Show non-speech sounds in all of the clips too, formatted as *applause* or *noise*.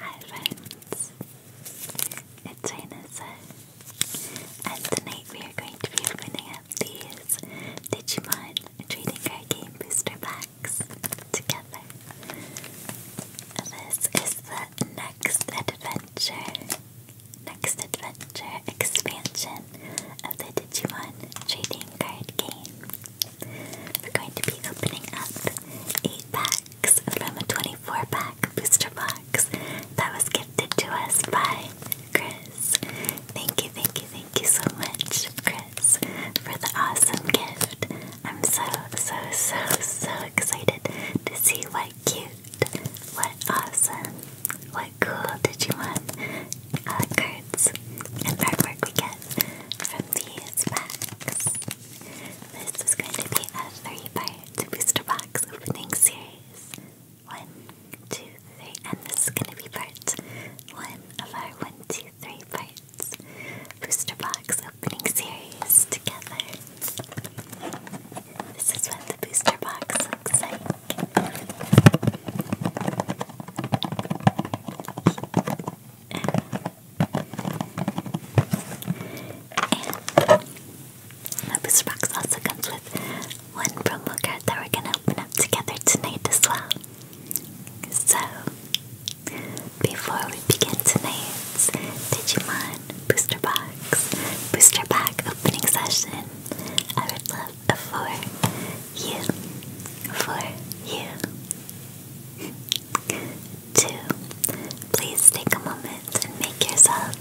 Hi friends, it's Rhinessa and tonight we are going to be opening up these Digimon Trading Card Game Booster Packs together. This is the Next Adventure, Next Adventure expansion of the Digimon Trading Card Game. We're going to be opening up 8 packs from a 24 pack booster box that was gifted to us by Chris. Thank you, thank you, thank you so much, Chris, for the awesome gift. I'm so, so, so, so excited to see what cute, what awesome, what cool Digimon uh, cards and artwork we get from these packs. This is going to be a three-part booster box opening series. One, two, three, and this is going to be part one of our one, two, three parts booster box opening series together. This is what the booster box looks like. And Lapis Rocks also comes with one promo card that we're gonna open up together tonight as well. So, before we begin tonight's Digimon Booster Box, Booster Pack opening session, I would love for you, for you, 2. Please take a moment and make yourself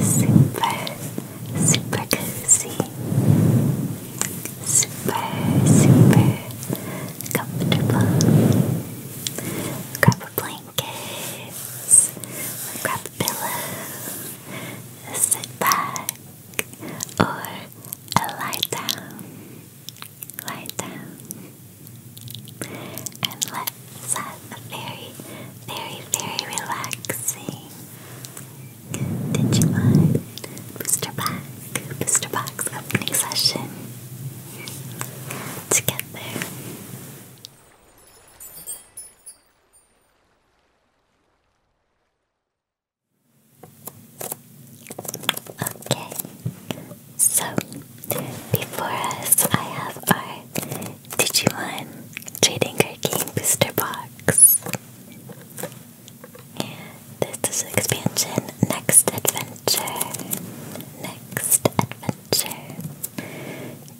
super, super cozy, super, super comfortable. Grab a blanket, grab a pillow, sit back, or lie down lie down, and let's have a very, very, very relaxing Digimon booster pack, booster box opening session together. Okay, so before us, I have our Digimon Trading Card Game Booster Box. This is expansion Next Adventure. Next Adventure.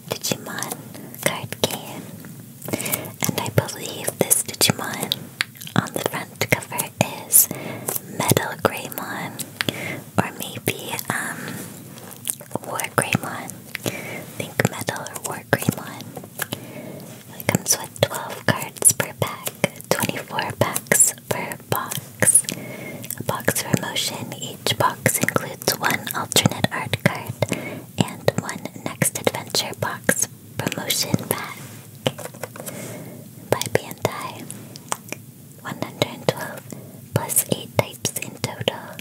Digimon card game. And I believe this Digimon on the front front cover is Metal Greymon, or maybe um, War Greymon. Think Metal or War Greymon. It comes with 12 cards per pack, 24 packs per box. A box for Each box includes one alternate art card and one next adventure box promotion pack by Bandai. 112 plus 8 types in total.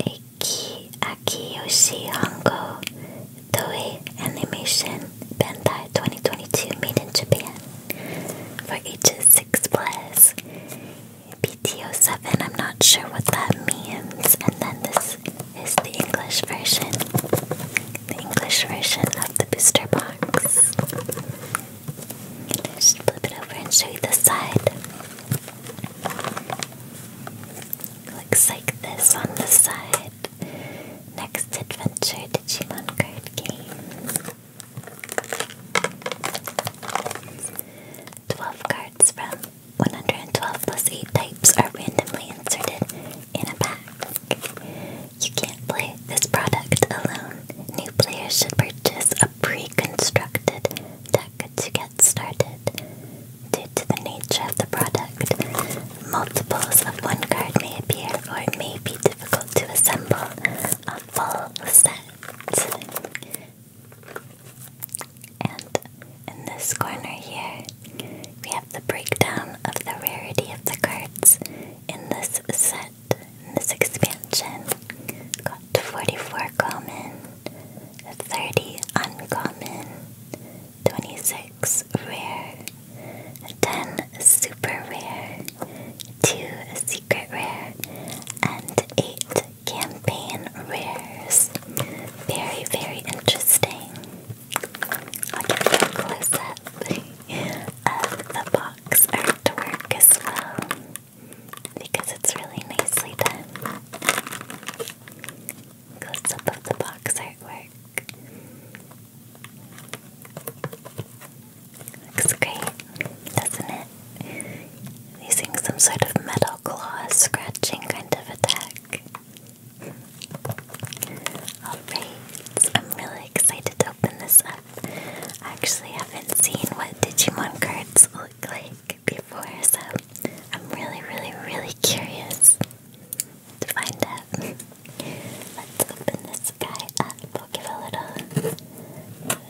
Aki, Akiyoshi Hongo, Toei Animation, Bandai 2022 made in Japan for ages 6 plus. BTO 7, I'm not sure what that means. And then this is the English version the English version of the booster box. Just flip it over and show you the side. Looks like this on the side. Next Adventure Digimon card game. 12 cards from 112 plus 8 types are randomly inserted in a pack. You can't play this product alone. New players should purchase a pre-constructed deck to get started. Due to the nature of the product, multiples of one card may appear or it may be difficult to assemble a full set. And in this corner here, we have the breakdown of the rarity of the cards in this set, this expansion, got 44 common, 30 uncommon, 26 rare, 10 super rare, 2 secret rare, and 8 campaign rares. Very, very interesting. i close up of the box box artwork as well because it's really nicely done. Close up of the box artwork. Looks great, doesn't it? Using some sort of metal claw scratching kind of attack. Alright, I'm really excited to open this up stuff. I actually haven't seen what Digimon cards look like before, so I'm really, really, really curious to find out. *laughs* Let's open this guy up. We'll give a little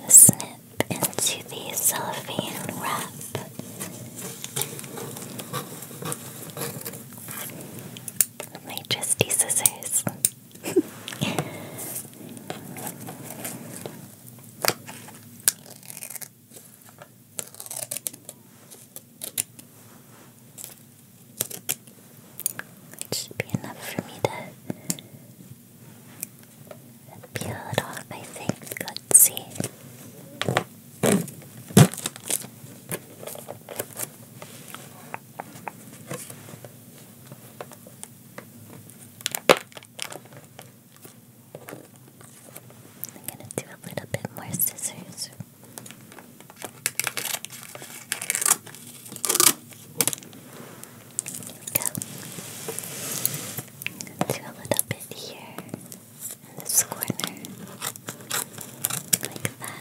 snip into the cellophane wrap. With my trusty scissors it should be enough for me to peel it off, I think. Let's see. I'm gonna do a little bit more scissors. Here we go. do a little bit here in this corner, like that.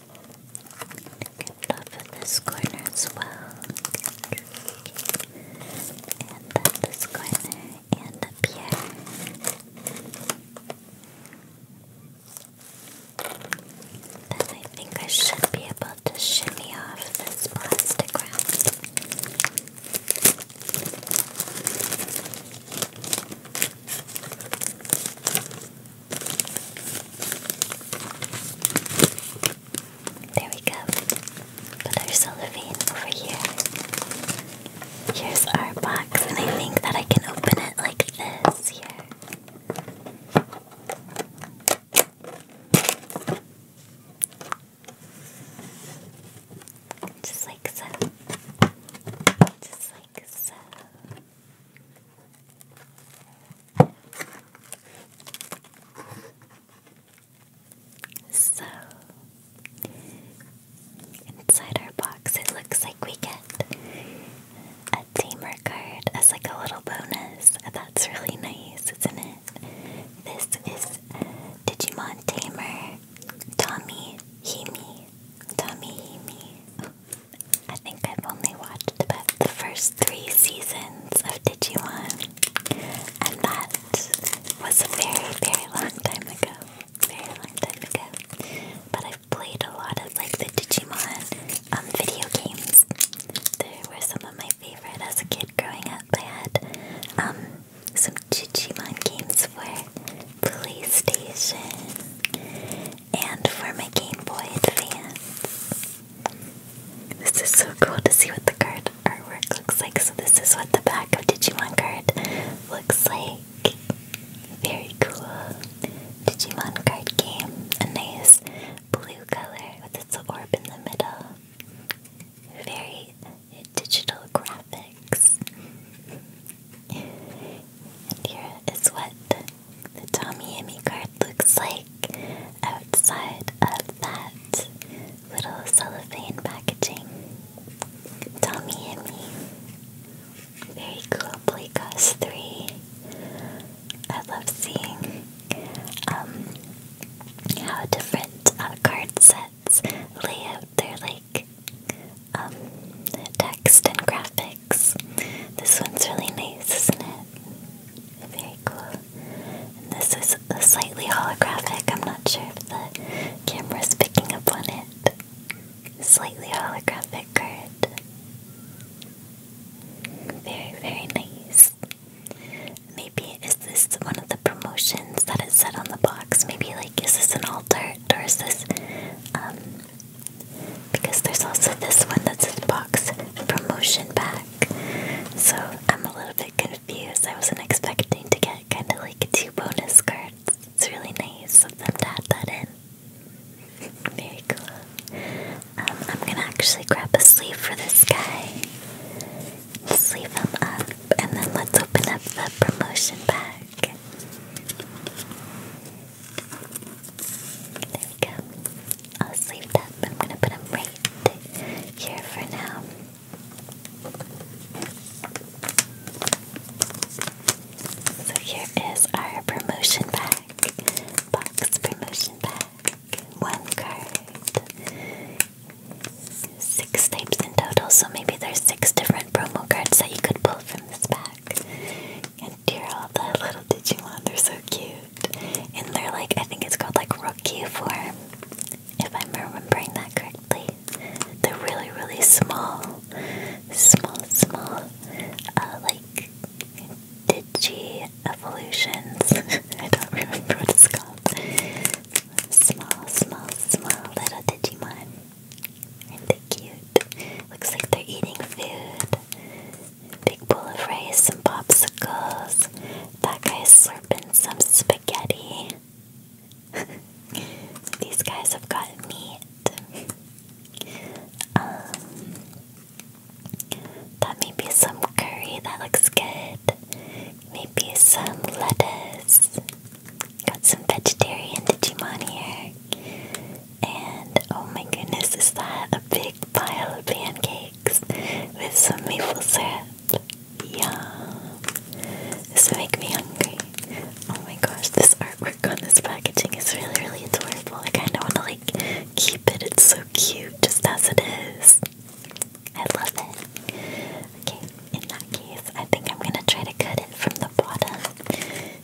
Get off of this corner as well. And then this corner and up here. Then I think I should be able to shimmy off this plastic round. There we go. Put our cellophane over here. Here's our box, and I think that I can open it like this here. Just like so. Just like so. So, inside our box, it looks like we get a tamer card as like a little bonus. That's really nice, isn't it? This is Digimon Tamer Tommy Hemi. Tommy Hemi. I think I've only watched about the first three seasons of Digimon, and that was a very, very long time ago. Very long time ago. But I've played a lot of like the Digimon um, video games. They were some of my favorite as a kid growing up. I had um, some Digimon games for PlayStation and for my Game Boy Advance. This is so cool to see what the card artwork looks like. So this is what the back of Digimon card looks like. Very cool. Digimon card game. A nice blue color with its orb in the middle. Very digital graphics. And here is what the Tommy Emmy card looks like outside of that little cellophane packaging. Tommy Emmy. Very cool play cost three. I love seeing um how different card sets lay out their like um text and graphics. This one's really nice, isn't it? Very cool this is a slightly holographic. I'm not sure if the camera is picking up on it. Slightly holographic card. Very, very nice. Maybe is this one of the promotions that is it said on the box? Maybe like is this an altar or is this um, because there's also this one that says box promotion pack. So I'm a little bit confused. I wasn't expecting to get kind of like two bonus cards. It's really nice of them to add that in. *laughs* Very cool. Um, I'm gonna actually grab a sleeve for this guy. Sleeve him up, and then let's open up the promotion pack. I'll save that, I'm gonna put them right here for now. So here is our promotion pack. Box promotion pack. One card. Six types in total, so maybe there's six different promo cards that you could pull from this pack. And dear all the little Digimon, they're so cute. And they're like I think it's called like rookie form, if I'm remembering that correctly. They're really really small, small small, uh, like digi evolutions. *laughs* I don't remember what it's called. Small small small little Digimon. Aren't they cute? Looks like they're eating food. Big bowl of rice and popsicles. That guy's slurping some spaghetti. *laughs* These guys have got meat. Um, that may be some curry that looks good. Maybe some lettuce. Got some vegetarian Digimon here. And oh my goodness, is that a big pile of pancakes? with some maple syrup. Yum! This will make me hungry. Oh my gosh, this artwork on this packaging is really, really adorable. I kind of want to like keep it. It's so cute, just as it is. I love it. Okay, in that case, I think I'm gonna try to cut it from the bottom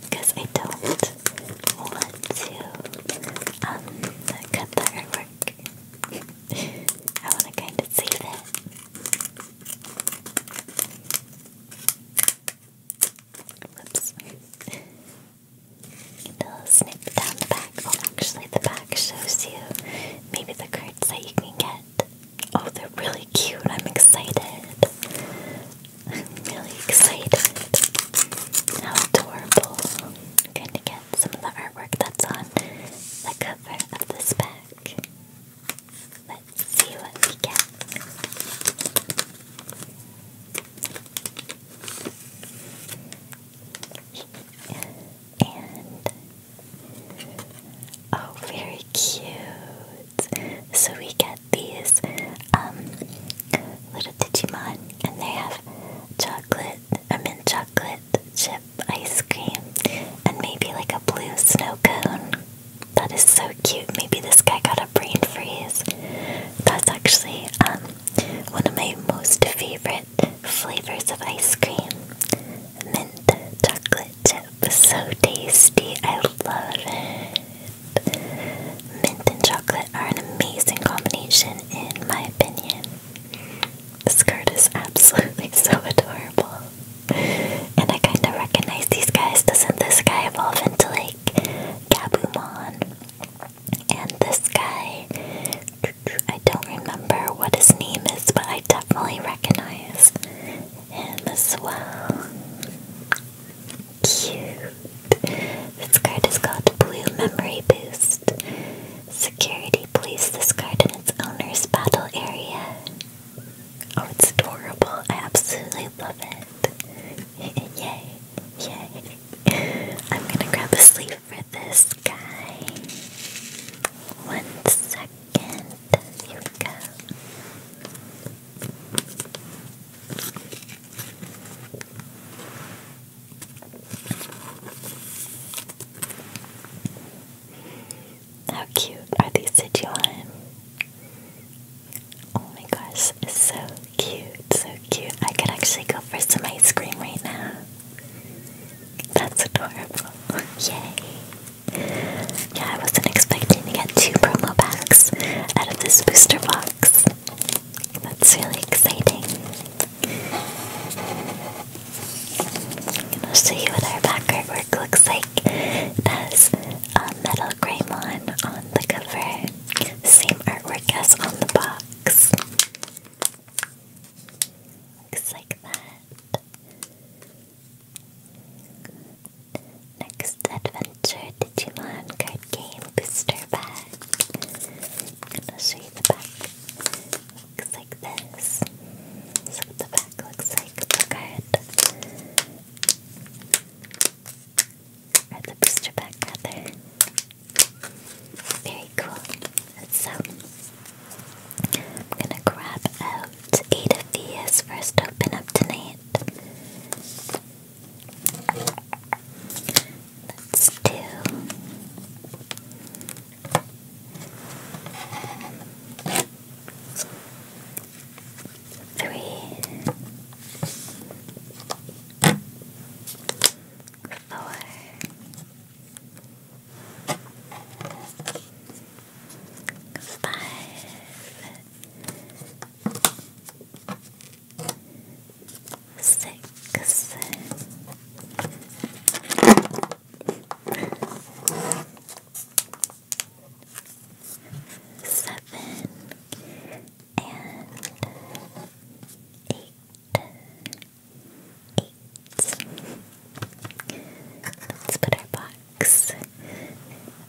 because I don't want to um, cut the artwork dark. I want to kind of save it. Whoops. And I'll snip down the back. Oh, actually, the back shows you maybe the cards that you can get. Oh, they're really cute. I'm excited. really excited. How adorable. i to get some of the artwork that's on the cover of this pack. Let's see what we get. And oh, very cute. So we get these um, little Digimon, and they have chocolate chocolate, a mint chocolate chip ice cream, and maybe like a blue snow cone. That is so cute. Maybe this guy got a brain freeze. That's actually um, one of my most favorite flavors of ice cream. Mint chocolate chip. is So tasty. I love it. Mint and chocolate are an amazing combination, in my opinion. The skirt is absolutely *laughs* so adorable. And I kind of recognize these guys. Doesn't this guy evolve into like Gabumon? And this guy, I don't remember what his name is, but I definitely recognize him as well. Cute. This card is called Blue Memory Boost. Security please discard in its owner's battle area. Oh, it's adorable. I absolutely love it. *laughs* Yay. Yay. *laughs* I'm gonna grab a sleeve for this guy. One second. Here we go. How cute are these Sichuan? Oh my gosh, so cute, so cute. I could actually go for some ice cream right now. That's adorable. *laughs* Yay. Yeah, I wasn't expecting to get two promo packs out of this booster box. That's really exciting. And I'll see you what our back artwork looks like. It has a metal Greymon on the cover. Same artwork as on the box. Looks like that. Next adventure Digimon card game booster bag. And I'll the back looks like this. This the back looks like of the the booster pack, rather. Very cool. So, I'm gonna grab out eight of first open up tonight. Let's do Three, four, five, six. Seven and eight, eight. Let's put our box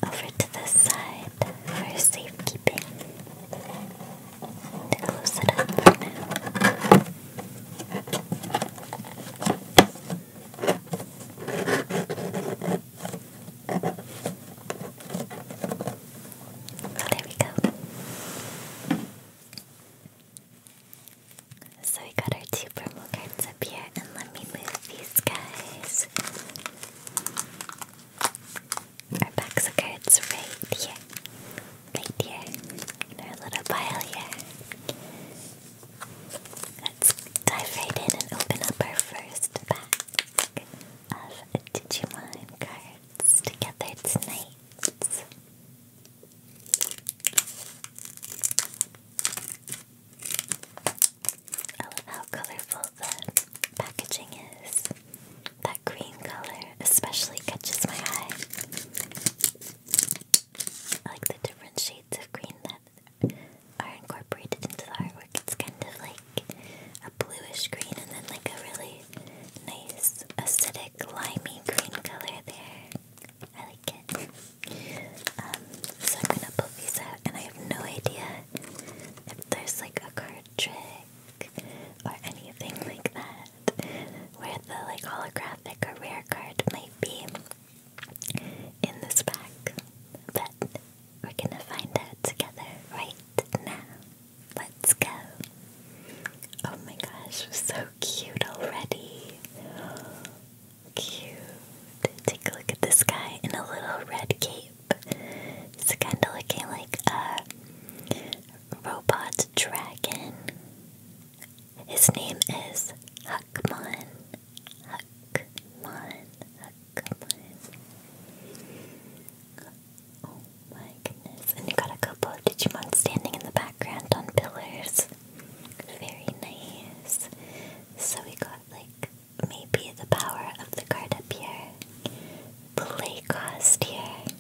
over to the side for safekeeping. To close it up for now. Oh, there we go. So we got our two promo cards up here, and let me move these guys. Our box of cards right here right here our little pile here. Let's dive right in and open up our first pack of Digimon cards together tonight. I love how colorful the packaging is. That green color especially catches my eye. I like the different shades of green that are incorporated into the artwork. It's kind of like a bluish green and then like a really nice acidic limey green color there. I like it. Um, so I'm gonna pull these out and I have no idea if there's like a card trick or anything like that where the like hologram graphic career card might be in this pack, but we're gonna find out together right now. Let's go! Oh my gosh, so cute already! Cute! Take a look at this guy in a little red cape. It's kinda looking like a robot dragon. His name is Hakmon. Hakmon. Huckmon. Oh my goodness. And you got a couple of Digimon standing in the background on pillars. Very nice. So we got like maybe the power of the card up here. The cost here.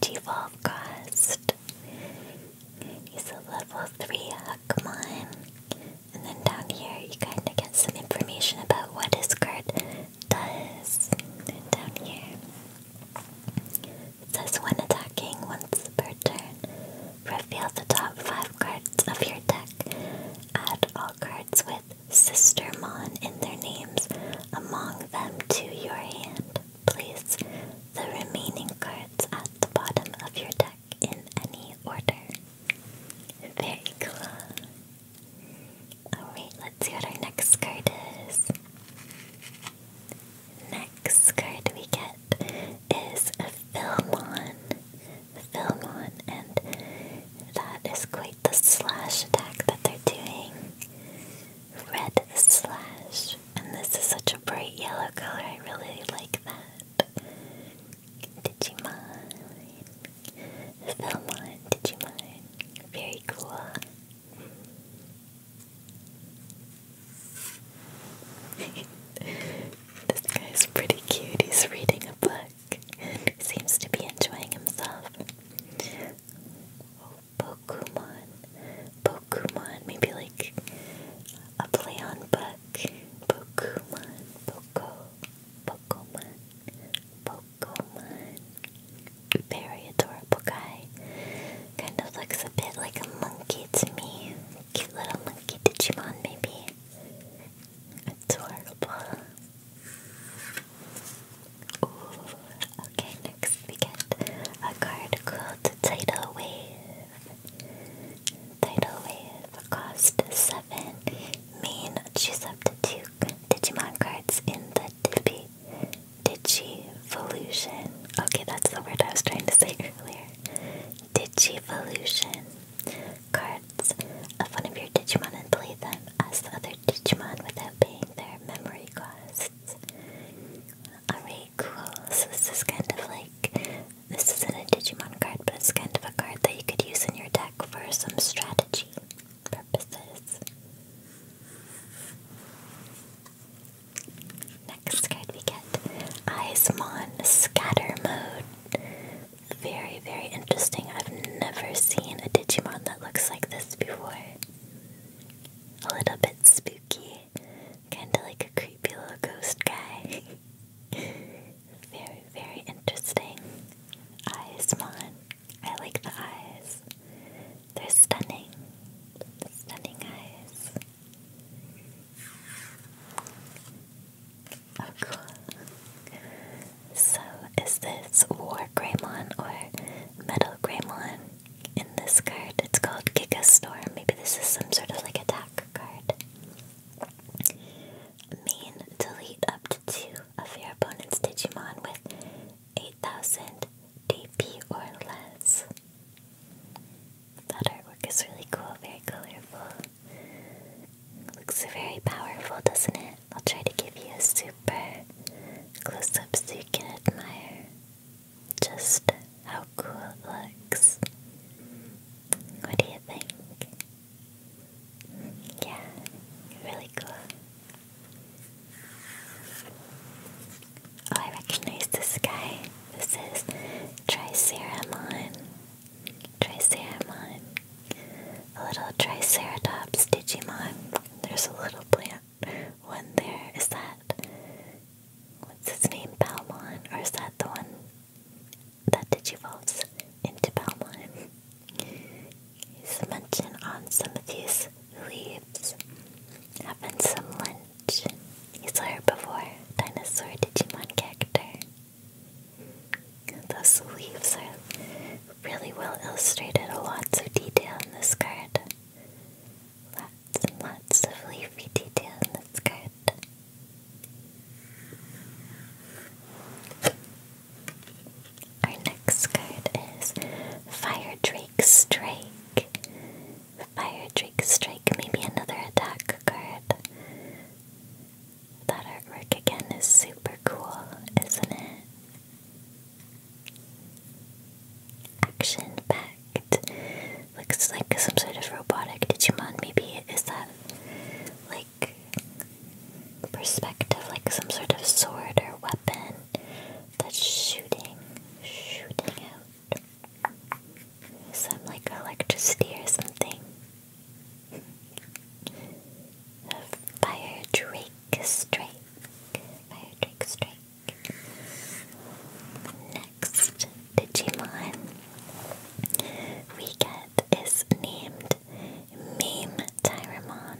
Digivolve cost. Use a level 3 Huckmon. And then down here you kinda get some information about what his card does. And down here it says when attacking once per turn. Reveal the top five cards of your deck. Add all cards with Sistermon in their names among them to your hand. Place the remaining cards at the bottom of your deck in any order. Very cool. Alright, let's see what our next card is. Next card we get is a Filmon. Filmon, and that is quite the slash attack that they're doing. Red slash. And this is such a bright yellow color. I really like that. Digimon. Velmon Digimon. Very cool. *laughs* this guy's pretty cute. He's reading a book. He seems to be enjoying himself. Pokemon, Pokemon, maybe like a play on book. Pokemon, Poco, Pokemon, Pokemon. Very adorable guy. Kind of looks a bit like a monkey to me. Cute little monkey Digimon, maybe. Adorable. Okay, next we get a card called Tidal Wave. Tidal Wave costs 7 mean she's up to 2 Digimon cards in the Dippy Digivolution. Okay, that's the word I was trying to say earlier. Digivolution cards of one of your Digimon and play them as the other Digimon without paying their memory costs. Alright, cool. So this is kind of like this isn't a Digimon card, but it's kind of a card that you could use in your deck for some strategy purposes. Next card we get Icemon Scatter Mode. Very, very interesting. I've never seen a Digimon that looks like this before. A little bit spooky kind of like a creepy little ghost guy. *laughs* very, very interesting. Eyes, Mon. I like the eyes. They're stunning. Stunning eyes. Oh, cool. So, is this War Greymon or Metal Greymon? in this card. It's called Giga Storm. Maybe this is some sort of like attack card. Mean delete up to two of your opponent's Digimon with 8000 DP or less. That artwork is really cool, very colorful. Looks very powerful, doesn't it? I'll try to give you a super close up so you can admire just how cool it looks. What do you think? Yeah, really cool. Oh, I recognize this guy. This is Triceramon. Triceramon. A little Triceratops Digimon. There's a little plant one there. Is that what's his name, Palmon? Or is that the one that digivolves into Palmon? He's mentioned on some of these leaves. Having some lunch. saw her before. dinosaur Digimon character. Those leaves are really well illustrated, a lot of detail in this card lots of leafy detail in the Our next card is Fire Drake Strike. Fire Drake Strike Maybe another attack card. That artwork again is super cool, isn't it? Action packed. Looks like some sort of robotic Digimon, maybe. Is that like perspective, like some sort of sword or weapon that's shooting, shooting out some like electricity or something? A fire Drake Strike. Fire Drake Strike. Next Digimon we get is named Meme Tyramon.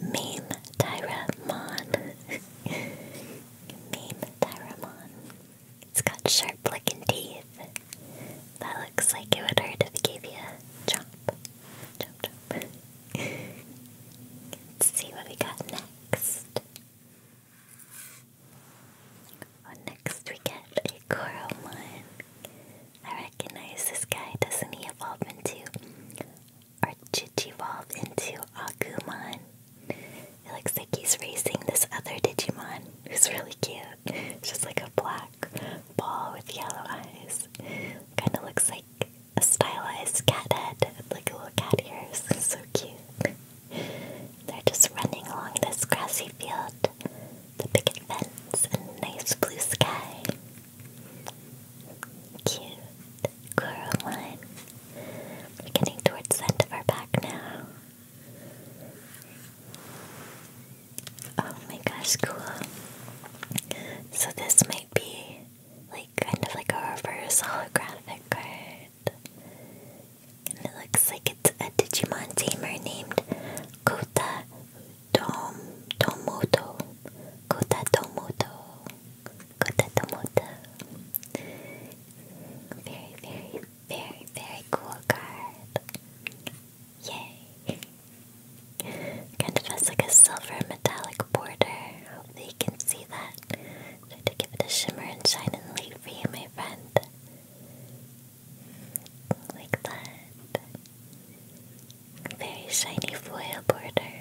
Meme Tyramon. *laughs* Meme Tyramon. It's got sharp looking teeth. That looks like it would hurt if it gave you a chomp. Chomp *laughs* Let's see what we got next next we get a Coromon. I recognize this guy. Doesn't he evolve into Archichivolve into a Agumon? It looks like he's racing this other Digimon who's really cute. It's *laughs* just like a black ball with yellow eyes. Kinda looks like a stylized cat head with like little cat ears. so cute. They're just running along this grassy field, the picket fence, nice blue sky. Cute. Coraline. We're getting towards the end of our pack now. Oh my gosh, cool. So this might be like kind of like a reverse holographic card. And it looks like it's a Digimon tamer named Kota Dom Tomoto. Kota Tomoto. Kota Tomoto. Very, very, very, very cool card. Yay. kind of has like a silver metallic border. Hopefully you can see that to give it a shimmer and shine and light for you, my friend. Like that. Very shiny foil border.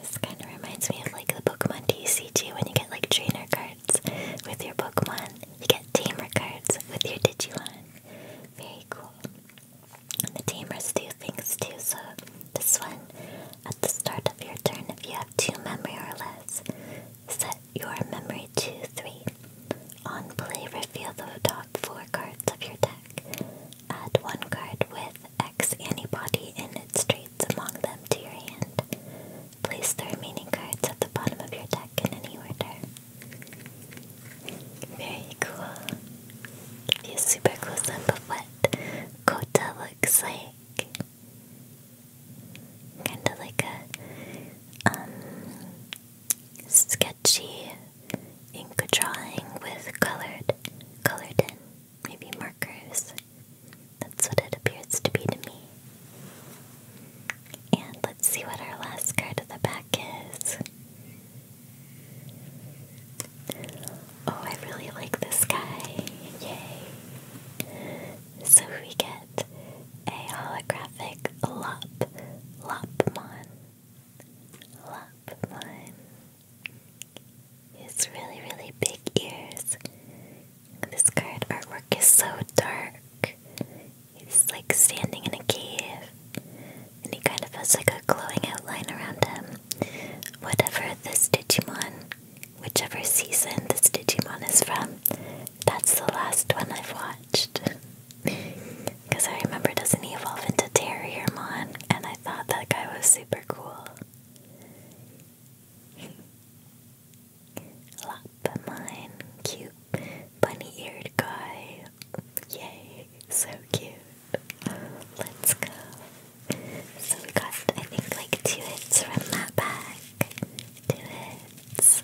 This kind of reminds me of like the Pokemon TCG when you get like trainer cards with your Pokemon. You get team cards with your Digimon. Very cool. And the tamers do things too, so this one, at the start of your turn, if you have two memory or less, set your memory to three. On play, reveal the top four cards of your deck. Add one card with X Anybody in its traits among them to your hand. Place the remaining cards at the bottom of your deck in any order. Very cool. Give you super close up of what Kota looks like. Kind of like a um, sketchy ink drawing with colored, colored in, maybe markers. That's what it appears to be to me. And let's see what our last card of the back is. Oh, I really like this guy. Yay. So we get a holographic Lop Lopmon. Lopmon. His really, really big ears. This card artwork is so dark. He's like standing in a cave and he kind of has like a glowing outline around him. Whatever this Digimon, whichever season this Digimon is from, that's the last one I've watched. Because *laughs* I remember, doesn't he evolve into Terriermon? And I thought that guy was super cool. Lop *laughs* cute bunny eared guy. Yay, so cute. Let's go. So we got, I think, like two hits from that pack. Two hits.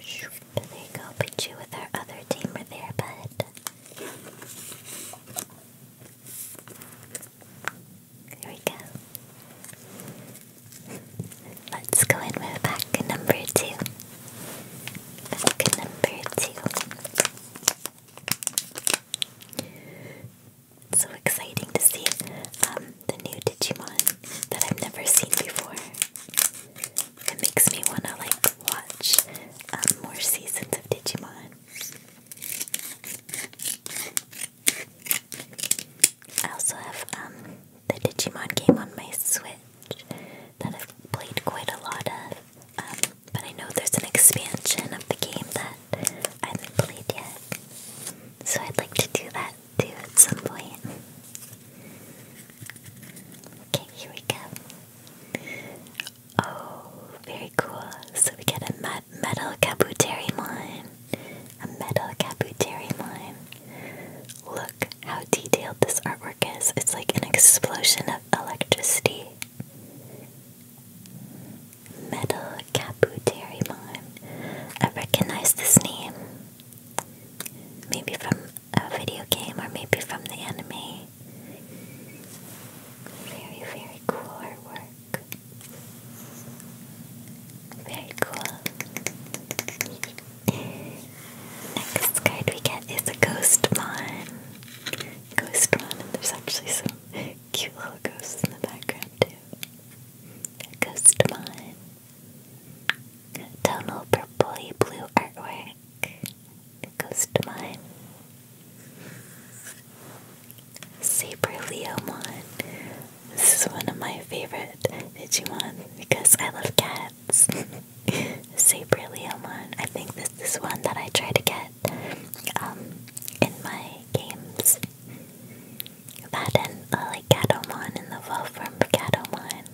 Shoot, there you go. Pichu with our other tamer there, bud. There we go. Let's go and move back to number two. Book number two. So exciting to see um, the new Digimon that I've never seen before. It makes me want to like watch um, more seasons of Digimon. I also have um, the Digimon game on my Switch that I've played quite a lot of, um, but I know there's an expansion of the game that I haven't played yet, so I'd like to do that too at some point. Okay, here we go. Oh, very cool. So we get a me metal Kabuterimon. A metal Kabuterimon. Look how detailed this artwork is. It's like an explosion of electricity. Metal Caputerimon. I recognize this name. Maybe from a video game or maybe from the anime. Very, very cool artwork. Very cool. Next card we get is a Ghostmon. Ghostmon, and there's actually some *laughs* cute little ghosts in the background too. A Ghostmon. Tonal purpley blue artwork. A Ghostmon. Saber Leomon. This is one of my favorite Digimon because I love cats pants. *laughs* I think this is one that I try to get um, in my games. That uh, and like Gatomon in the fall from Gatomon.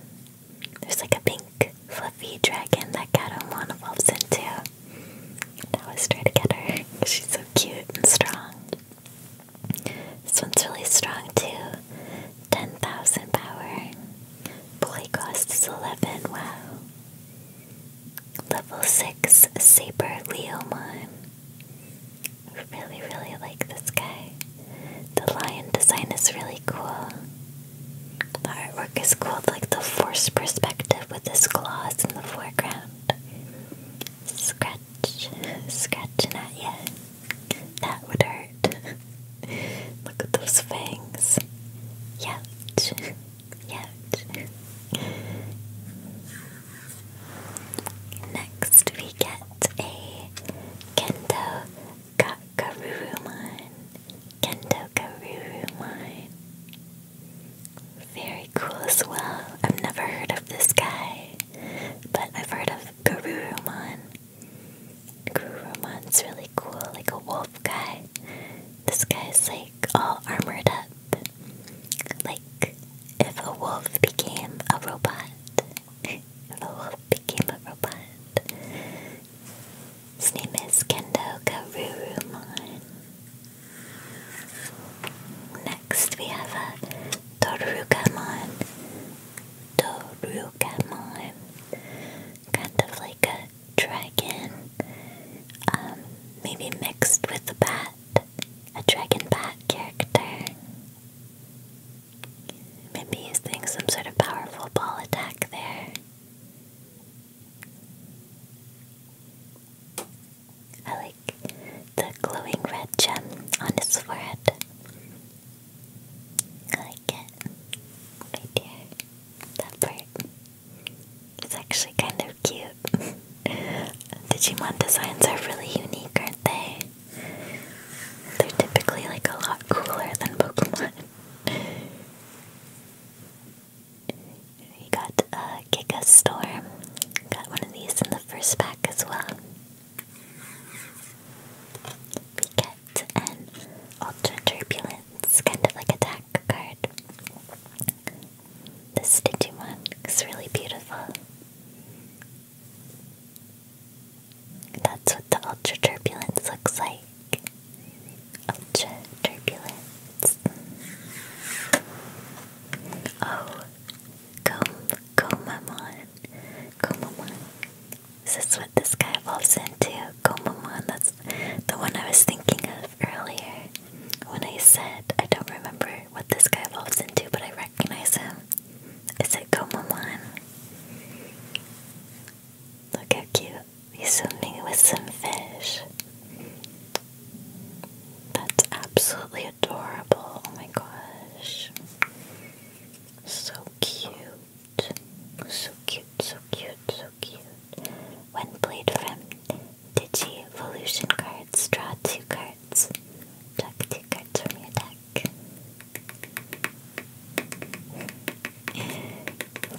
There's like a pink fluffy dragon that Gatomon evolves into. And I always try to get her. She's so cute and strong. This one's really strong too. 10,000 power. Boy is 11, wow. Level 6 Saber Leomon. Really, really like this guy. The lion design is really cool. The artwork is cool, like the force perspective with his claws in the foreground. Scratch, scratching Not yet. That would hurt. *laughs* Look at those fangs. Yet. Yet. Next, we get a Kendo Kakarurumon. Kendo Karurumon. Very cool as well. I've never heard of this guy, but I've heard of Garurumon is really cool, like a wolf guy. This guy is like all armored up. Like if a wolf became a robot. a wolf became a robot. His name is Kendo Karuruman. Next we have a Torugamon. Torugamon kind of like a dragon, um, maybe mixed with a bat, a dragon bat character. Maybe he's some sort of powerful ball attack there. I like the glowing red gem on his forehead. I like it. Right that part. It's actually kind of cute. Digimon *laughs* designs are really unique, aren't they? They're typically like a lot cooler than Pokemon. *laughs* We got a uh, Giga Storm. Got one of these in the first pack as well. We get and Ultra Turbulence, kind of like a attack card. This one is really beautiful. That's what the Ultra Turbulence looks like. Ultra Turbulence. Oh, Gom Gomamon. Gomamon. Is this what this guy evolves into? Komamon, that's the one I was thinking of earlier when I said I don't remember what this guy evolves into, but I recognize him. Is it Komamon? Look how cute. He's swimming with some fish. That's absolutely adorable. Oh my gosh. So cute so cute, so cute, so cute. When played from Digivolution cards, draw two cards. Draw two cards from your deck.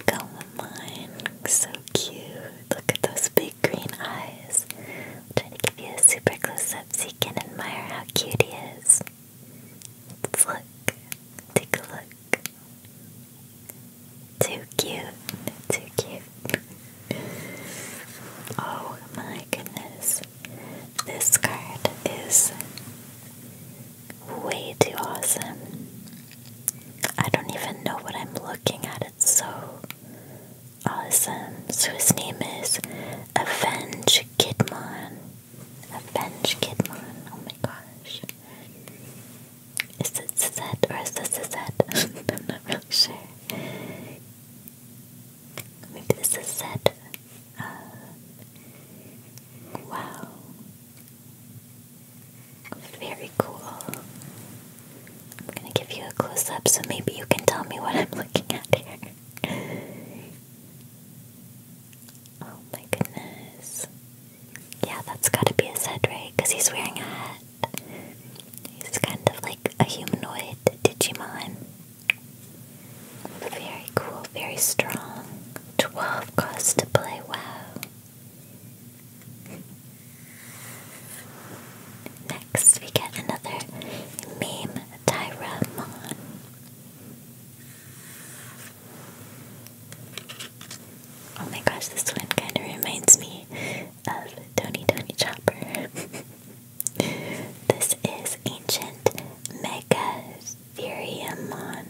Go mine, so cute. Look at those big green eyes. i to give you a super close up so you can admire how cute he is. Let's look. Take a look. Too cute. Too cute. oh my goodness. This card is way too awesome. I don't even know what I'm looking at. It's so awesome. So his name is Avenge Kidmon. Avenge Kidmon. Oh my gosh. Is it Suzette or is this Suzette? *laughs* I'm not really sure. Maybe this is Suzette. Uh, wow. Very cool. gonna give you a close up so maybe you can tell me what I'm looking at here. *laughs* Oh my goodness. Yeah, that's gotta be his head, right? Because he's wearing a hat. He's kind of like a humanoid Digimon. Very cool, very strong. 12 costs to play, wow. Next, we get another meme Tyramon. Oh my gosh, this one kind of reminds me of Tony Tony Chopper. *laughs* this is Ancient Megatheriumon.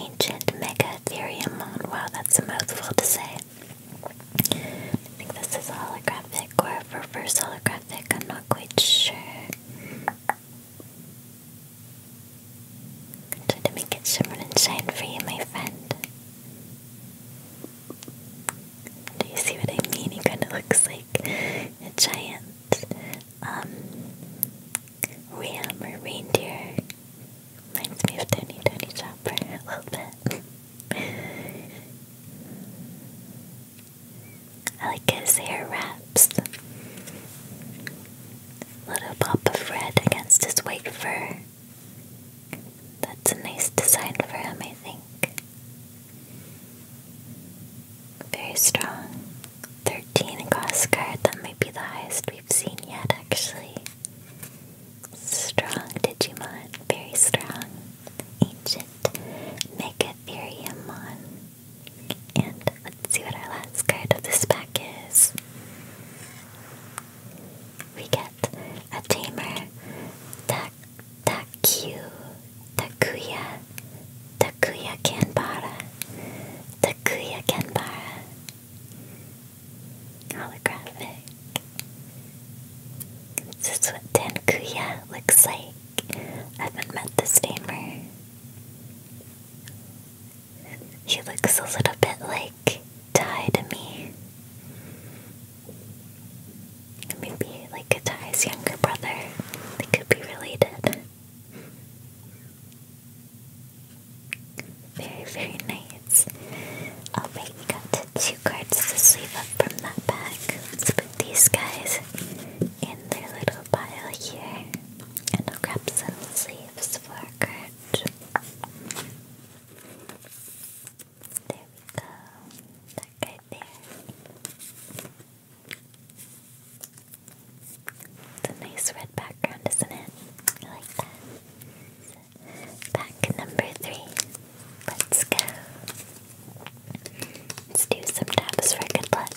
Ancient Megatheriumon. Wow, that's a mouthful to say. I think this is holographic or first holographic, I'm not quite sure. I'll try to make it shimmer and shine for you, my friend. Do you see what I mean? He kind of looks like a giant um, ram or reindeer. Reminds me of Tony Tony Chopper a little bit. *laughs* I like his hair wraps. Little pop of red against his white fur. That's a nice design for him, I think. Very strong. 13 cost guard, that might be the highest we've seen yet, actually. Strong Digimon, very strong. Ancient Mega Theriumon. And let's see what our last card of this pack is we get a tamer, tak Takyu, Takuya, Takuya Kenbara, Takuya Kanbara, holographic. This is what Tankuya looks like. I haven't met this tamer. He looks a little bit like Ty to me. Maybe like Ty's younger brother. They could be related. Very, very nice. Oh, Alright, we got two cards to sleeve up from that pack. put these guys in their little pile here. And I'll grab some sleeves for our there we go. That there. It's a nice red background, isn't it? I like that. Pack number three. Let's go. Let's do some taps for good luck.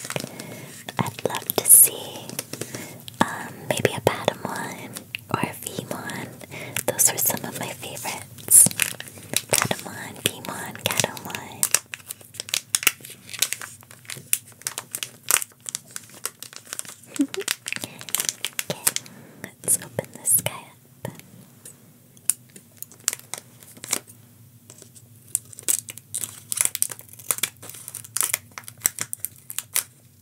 I'd love to see um, maybe a Patamon or a Vmon. Those were some of my favorites. Patamon, Vmon, Catamon. *laughs* okay, let's open this guy do a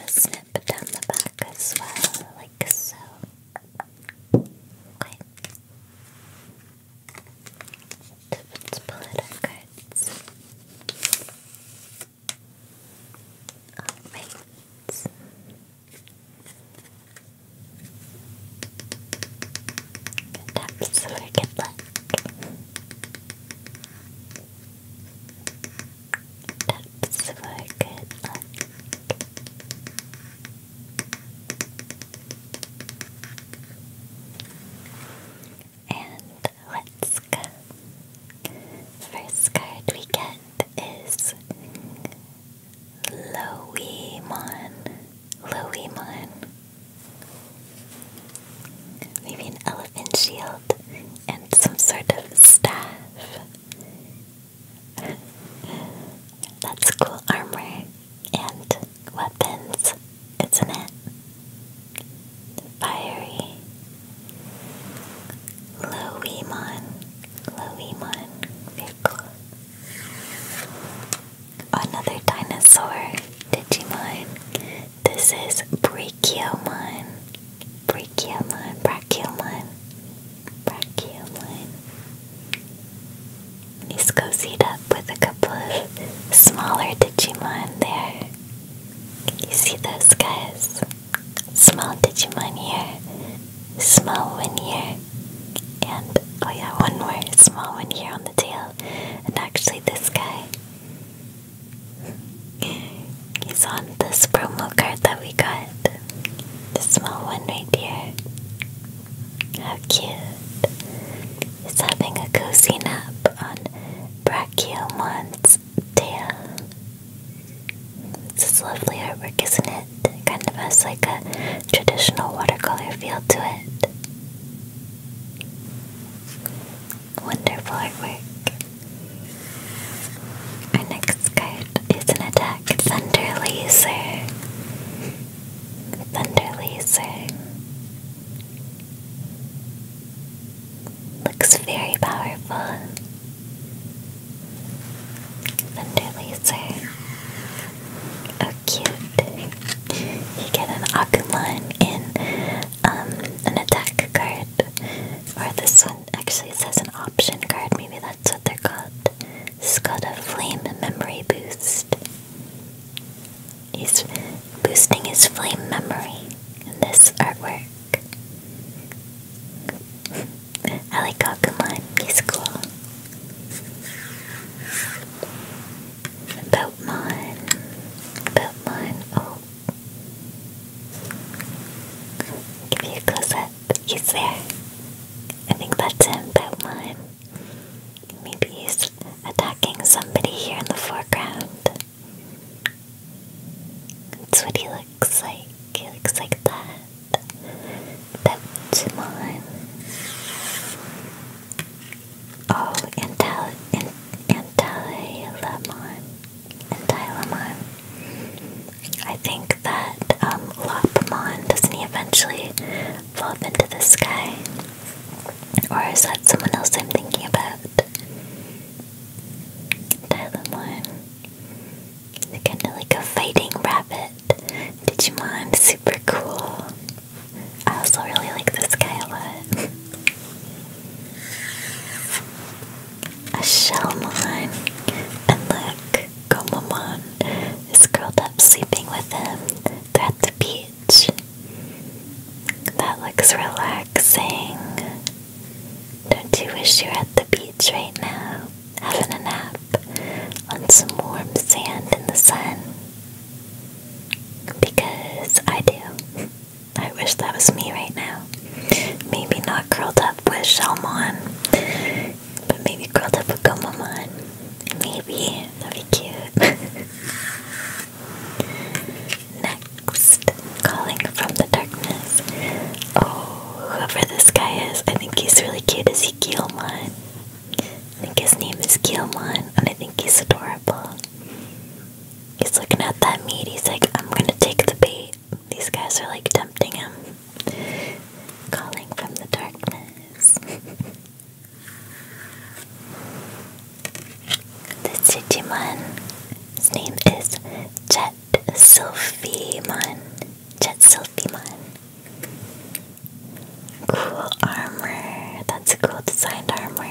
a snip down the back as well, like so. Okay. Let's pull out our cards. Good taps for good luck. Taps for good luck. And let's go. first card we get is Loemon. Loemon. Maybe an elephant shield and some sort of staff. *laughs* That's cool armor and weapons, isn't it? Fiery. Loemon. Loemon. Very cool. Another dinosaur Digimon. This is Brachiomon. Brachiomon, Brachiomon, Brachiomon. He's cozied up with a couple of smaller Digimon there. You see those guys? Small Digimon here, small one here, and oh yeah, one more small one here on the tail. And actually this guy he's on this promo card that we got. The small one right here. How cute. He's having a cozy nap on Brachyomont's tail. This is lovely artwork, isn't It kind of has like a traditional watercolor feel to it it. Wonderful artwork. Our next card is an attack Thunder Laser. Thunder Laser. Looks very powerful. Thunder Laser. A cute. You get an Agumon in um, an attack card. Or this one actually says an option card, maybe that's what they're called. This is called a Flame Memory Boost. He's boosting his flame memory in this artwork. *laughs* I like Agumon, he's cool. About mine. Oh. Give you a close up. He's there. I think that's him, Pokemon. Maybe he's attacking somebody here in the foreground. That's what he looks like. He looks like that. Pokemon. Oh, and and Antal in Antilamon. Antilamon. I think that um, Lopamon, doesn't he eventually up into the sky? Or is that someone else I'm thinking about? Antilamon. they kind of like a fighting rabbit. Did you mind? super cool. I also really like this guy a lot. A shell mine. and look, Gomamon is curled up sleeping with him. They're at the beach. That looks relaxing. Don't you wish you are at the beach right now, having a nap on some warm sand in the sun? Because I do. I wish that was me right now. Maybe not curled up with Shalmon, but maybe curled up with Gomamon. Maybe. That'd be cute. *laughs* Next, calling from the darkness. Oh, whoever this guy is, I think he's really cute. Ezekiel I think his name is Gilmon, and I think he's adorable. He's looking at that meat, he's like, I'm gonna take the bait. These guys are like tempting him. Calling from the darkness. *laughs* this Digimon, his name is Jet Sylphimon. Jet Sylphimon. Cool armor. That's a cool designed armor.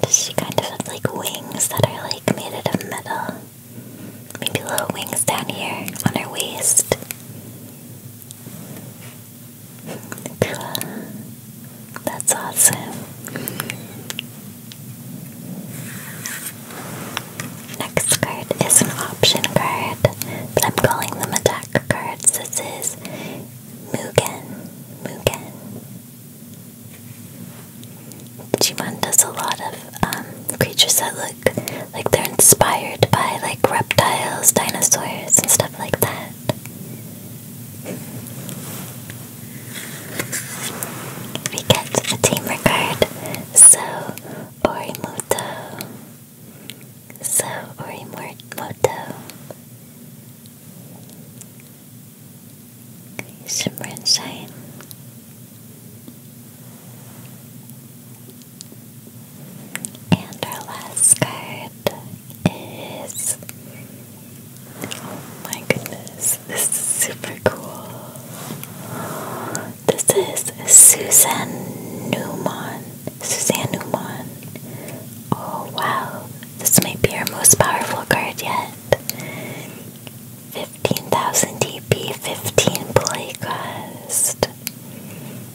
Does She kind of have like wings that are like made out of metal. Maybe little wings down here on her waist. Cool. That's awesome. Next card is an option card, but I'm calling them attack cards. This is Mugen, Mugen. Digimon does a lot of um, creatures that look like they're inspired by like reptiles, dinosaurs, and stuff like that. We get a tamer card, so Orimuto so Orimoto Shimmer and Shine And our last card is Oh my goodness, this is super cool. This is Susan Newman. Suzanne Newman Oh wow, this might be our most powerful card yet. 15,000 DP, 15 play cost.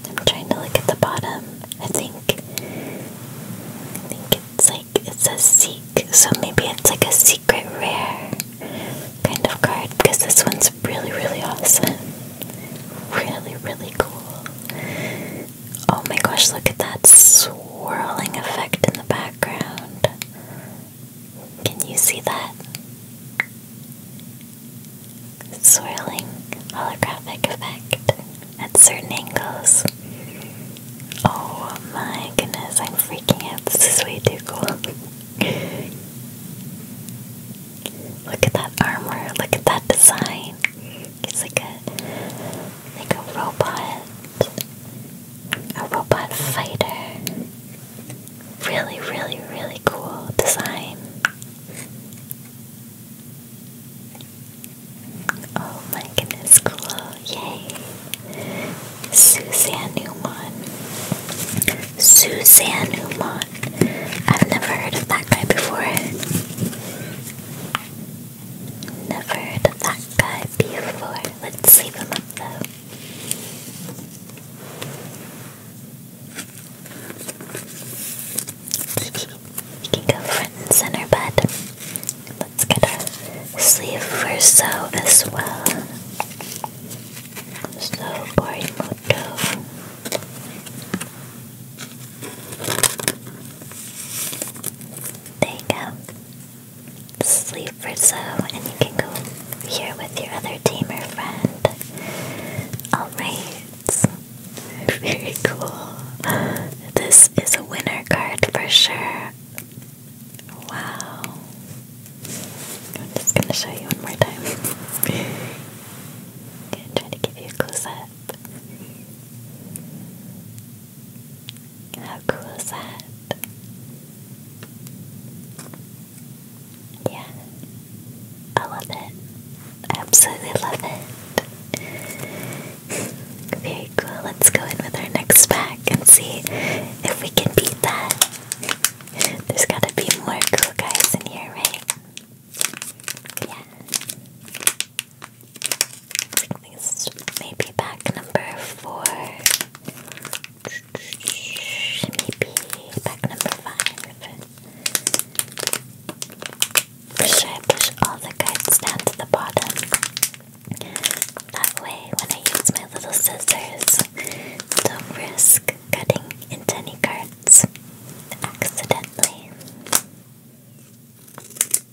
I'm trying to look at the bottom. I think I think it's like it's a seek, so maybe it's like a secret rare kind of card because this one's really really awesome. Really, really cool. Oh my gosh, look at that swirling effect in the background. Can you see that? Swirling holographic effect at certain angles. Oh my goodness, I'm freaking out. This is way too cool. *laughs* look at that armor, look at that design. It's like a like a robot, a robot fighter. Really, really, really cool design. Oh my goodness, cool! Yay, Suzanne Newman. Suzanne Newman. I've never heard of that guy before. Never heard of that guy before. Let's sleep him up though. you can go front and center, bud. Let's get our sleeve for so as well. So Borimoto. There you go. Sleep for so, and you can go here with your other tamer friend. Alright. *laughs* Very cool. This is a winner card for sure. Wow. I'm just gonna show you one more time. *laughs* Gonna give you a close how cool is that? Yeah, I love it. I absolutely love it. *laughs* Very cool. Let's go in with our next pack and see if we can beat that. There's gotta be more cool guys in here, right? Yeah maybe pack number four. Maybe pack number five. should I push all the cards down to the bottom? That way, when I use my little scissors, don't risk cutting into any cards accidentally. Perfect. Put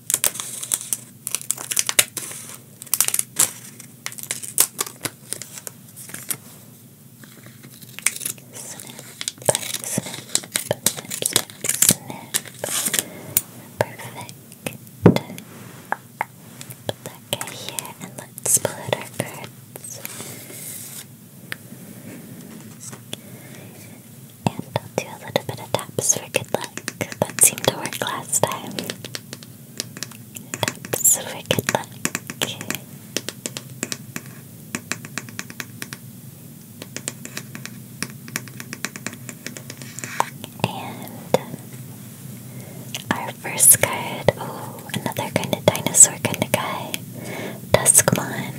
that guy here and let's pull out our cards. And I'll do a little bit of taps for good luck. That seemed to work last time. Taps for good luck. And our first card, oh, another kind of dinosaur kind of guy, Duskmon.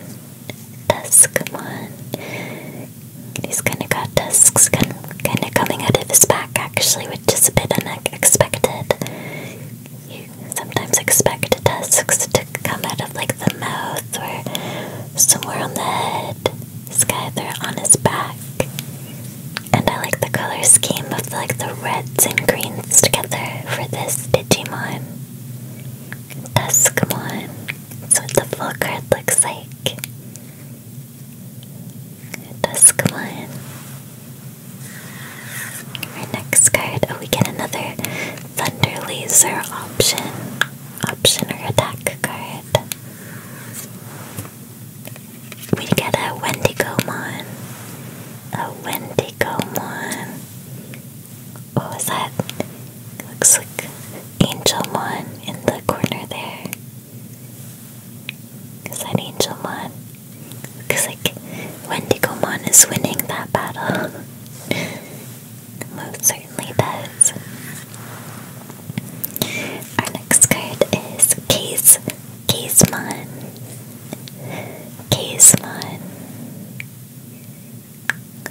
Duskmon. He's kind of got tusks kind of coming out of his back, actually, which is a bit unexpected. You sometimes expect tusks to come out of like the mouth or somewhere on the head. This guy, they on his back. And I like the color scheme of like the reds and greens together for this Ditto Digimon. Escamon. That's what the full card looks like. Duskmon. Our next card. Oh, we get another Thunder Laser option. Option or attack card. We get a Wendigomon. A Wendigomon. What that? Looks like Angel Mon in the corner there. Is that Angel Mon? Looks like Wendigo Mon is winning that battle. *laughs* Most certainly does. Our next card is Case Casemon. Casemon.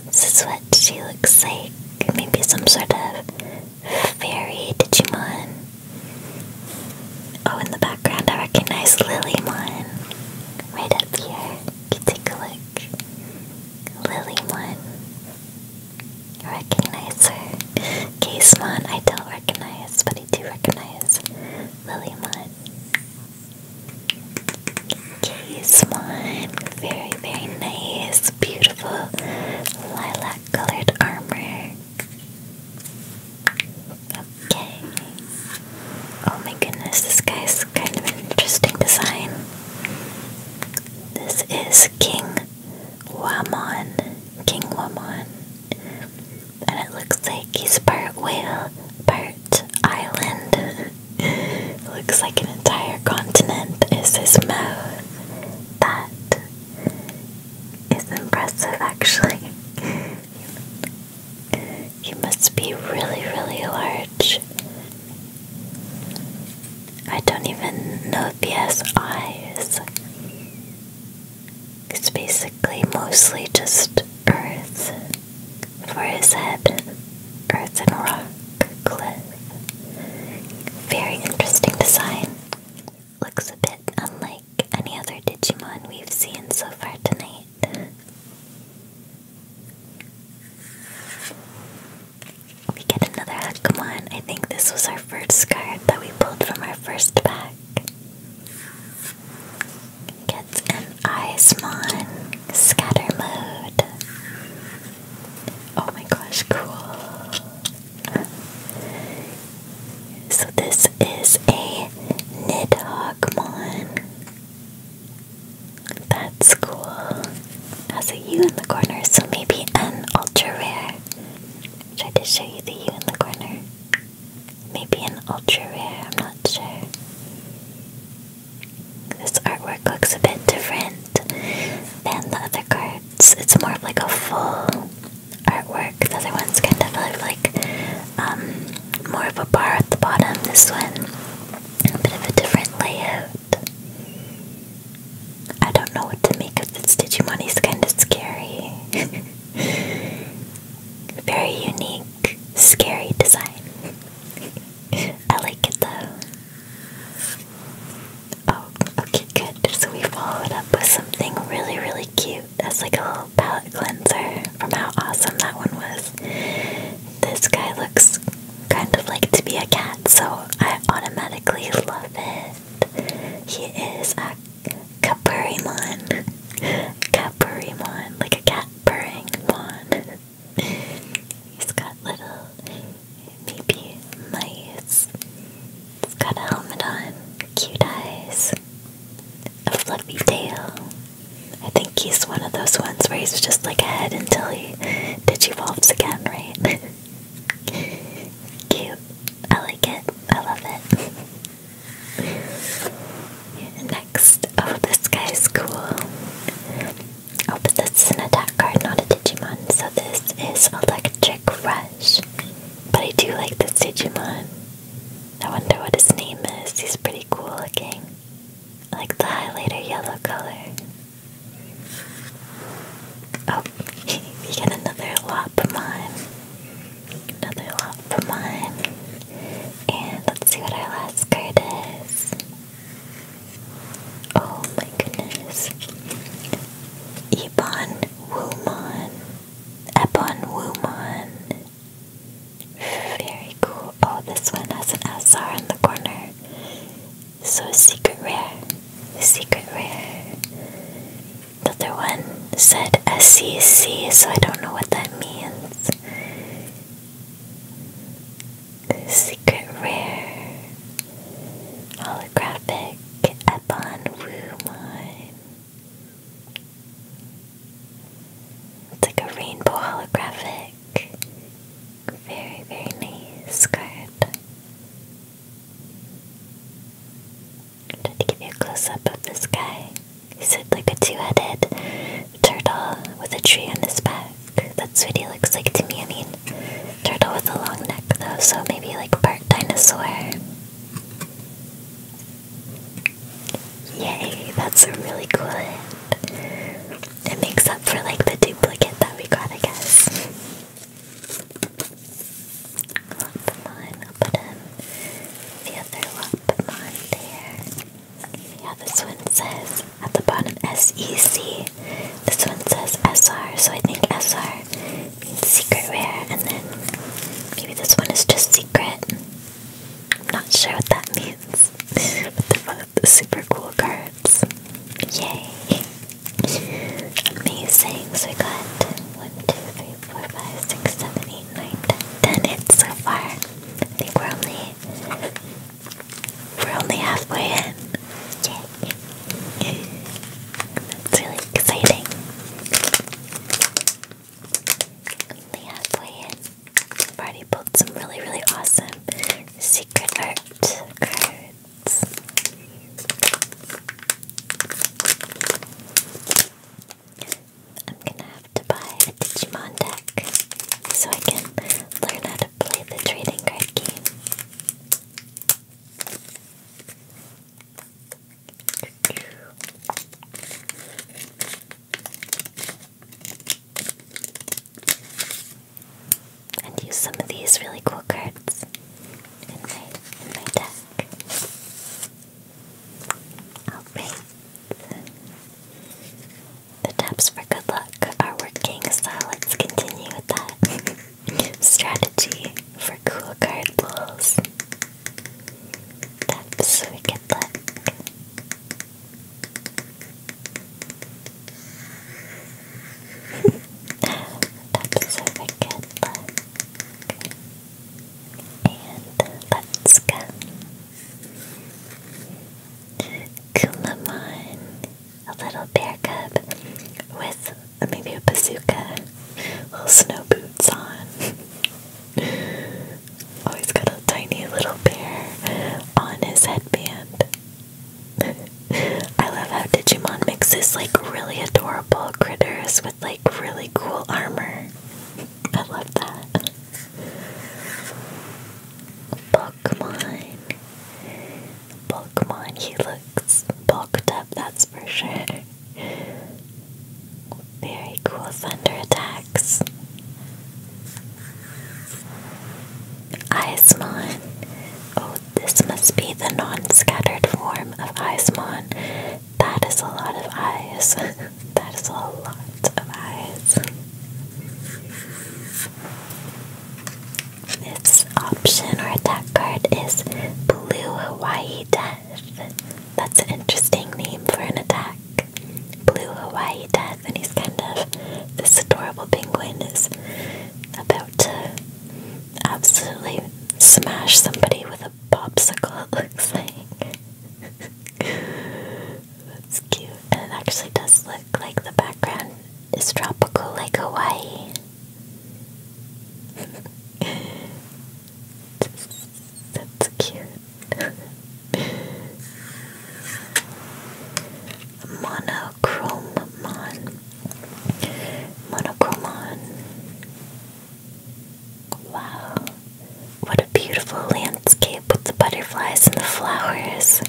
This is what she looks like. Maybe some sort of fairy Digimon. Oh, in the background I recognize Lilymon. Right up here. You take a look. Lilymon. I recognize her. Casemon I don't recognize, but I do recognize Lilymon. Case Very, very nice. Beautiful lilac colored armor. Okay. Oh my goodness, this guy's kind of an interesting design. This is King Wamon. King Wamon. And it looks like he's part whale, part island. Looks like an entire continent is his mouth. That is impressive, actually. He must be really, really large. I don't even know if he has eyes. It's basically mostly just earth for his head earth and rock Very interesting design. Looks a bit unlike any other Digimon we've seen so far tonight. We get another Hakumon. I think this was our first card that we pulled from our first pack. Gets an Eyesmon Scatter Mode. Oh my gosh, cool. So this is a Nidhoggmon. That's cool. Has a U in the corner, so maybe an ultra rare. tried to show you the U in the corner. Maybe an ultra rare, I'm not sure. This artwork looks a bit different than the other cards. It's more of like a full artwork. The other one's kind of have like um, more of a bar at the bottom. This one, a bit of a different layout. I don't know what to make of this money is kind of scary. *laughs* Very unique, scary design. *laughs* I like it though. Oh, okay, good. So we followed up with something really, really cute. That's like a little palette cleanser from how awesome that one was. This guy looks kind of like to be a cat, so I automatically love it. He is a Capurimon. Capurimon, like a cat purring mon. He's got little baby mice. He's got a helmet on, cute eyes, a fluffy tail. I think he's one of those ones where he's just like ahead until he digivolves again, right? *laughs* Cute. I like it. I love it. *laughs* Next, oh, this guy's cool. Oh, but this is an attack card, not a Digimon. So this is Electric Rush. But I do like this Digimon. I wonder what his name is. He's pretty cool looking. I like the highlighter yellow color. Oh, *laughs* we get another Lopamon. Another Lopamon. And let's see what our last card is. Oh my goodness. Ebon Woomon. Ebon Woomon. Very cool. Oh, this one has an SR in the corner. So secret rare. Secret rare. The other one said SCC, so I don't know what that means. Secret Rare Holographic Ebon Wumon. It's like a rainbow holographic. Very, very nice card. Try to give you a close up of this guy. He's like a two headed turtle with a tree on his back. That's what he looks like to me. I mean, turtle with a long neck though, so maybe like part dinosaur. Yay, that's a really cool hit. It makes up for like the duplicate that we got, I guess. Lopamon, i put in the other Lopamon there. Yeah, this one says at the bottom SEC. This one says S R, so I think S R means secret rare, and then maybe this one is just secret. I'm not sure what that means, but they're both super cool cards. Yay! Amazing. So we got 1, 10, so far. I think we're only we're only halfway in. Yay. That's really exciting. Only halfway in. I've already pulled some really, really awesome secret art cards. I'm gonna have to buy a Digimon deck so I can learn how to play the trading card game. And use some of these really cool cards in my in my deck. Alright. The taps for good luck are working, so let's continue with that. *laughs* strategy for cool card pulls. That's wicked luck. That's a wicked luck. And let's go. Kulamon a little bear cub with maybe a bazooka, little snow boots on. oh, he's *laughs* got a tiny little bear on his headband. *laughs* I love how Digimon mixes like really adorable critters with like really cool armor. I love that. Pokemon Pokemon. He looks bulked up, that's for sure. Very cool thunder attacks. Ice Ismon. Oh, this must be the non scattered form of Ice Ismon. That is a lot of ice. *laughs* that is a lot of ice. Its option or attack card is Blue Hawaii Death. That's an interesting name for an attack. Blue Hawaii Death, and he's kind of this adorable penguin is about to absolutely smash somebody with a popsicle, *laughs* it looks like. That's cute. And it actually does look like the background is tropical, like Hawaii. That's cute. Monochromon. Monochromon. Wow. What a beautiful landscape with the butterflies and the flowers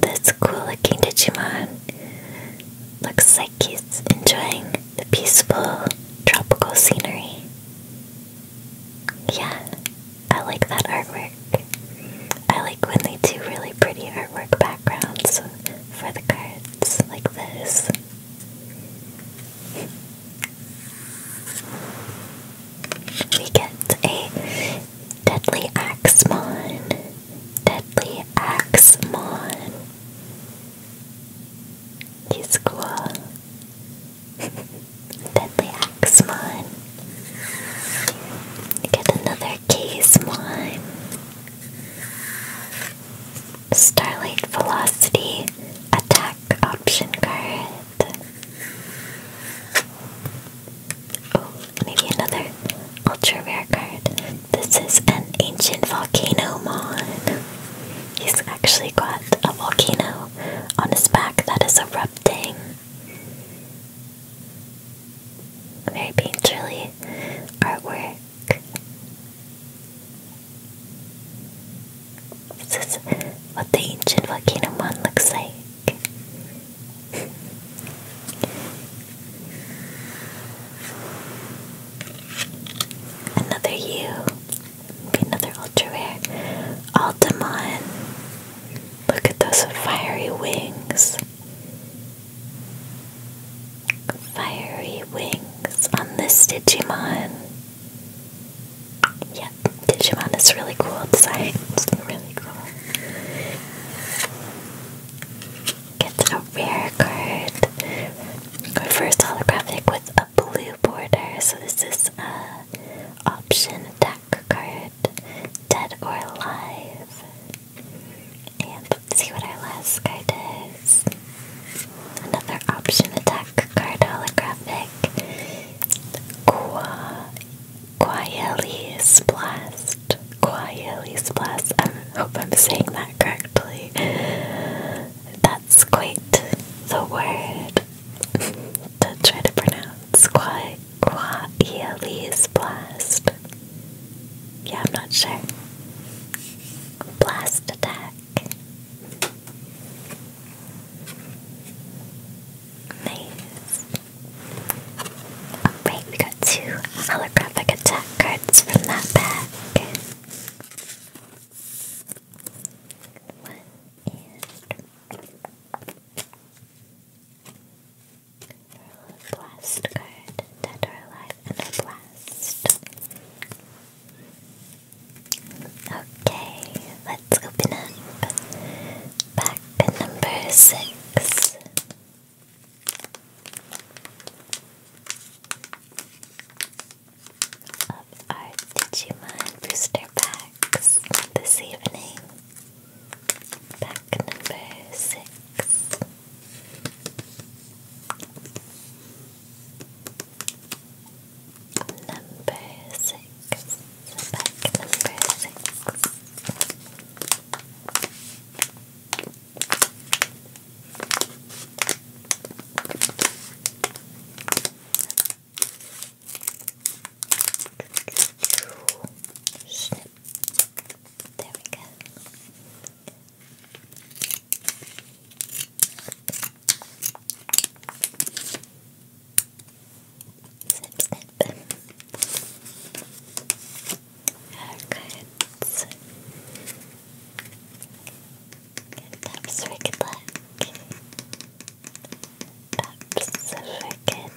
this cool looking Digimon looks like he's enjoying the peaceful tropical scenery. Yeah, I like that artwork. I like when they do really pretty artwork backgrounds for the cards like this. We get a Deadly Axemon. Deadly Axemon. He's *laughs* Deadly Axemon. Get another Casemon. Starlight Velocity Attack Option Card. Oh, maybe another ultra rare card. This is an ancient volcano mon. He's actually got a volcano on his back that is erupting. Very painterly artwork. This is what the ancient volcano mon looks like. Another U. Okay, another ultra rare. Look at those fiery wings. Fiery wings on this Digimon. Yeah, Digimon is really cool design. It's really cool. Get a rare card. first holographic with a blue border. So this is a option attack card. Dead or alive. And see what our last guy does. Another option attack card holographic. Qua Quietly Splast. Quietly Splast. I hope I'm saying that correctly. That's quite the word to try to pronounce. Quietly Splast. Yeah, I'm not sure. Blast attack. Nice wait, we got two holographic attack cards from that pack. One and blast card, dead or alive, and a blast. Okay, let's open up pack number six of um, our Digimon booster packs this evening. Pack number six. Number six. Pack number six. Snip. There we go. Snip, snip haircuts. And that's wicked luck. That's wicked luck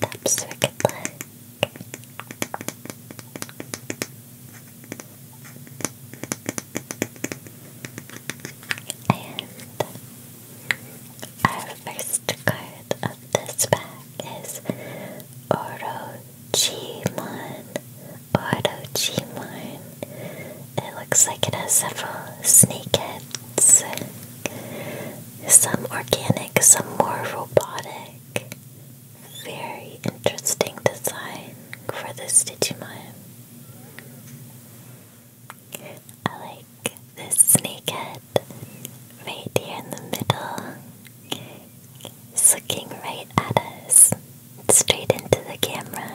that circuit plug. And our first card of this pack is Oro Chimon, Auto-Chimon. It looks like it has several snake heads. Some organic, some more robotic. Very interesting design for this Digimon. I like this snake head right here in the middle. It's looking right at us, straight into the camera.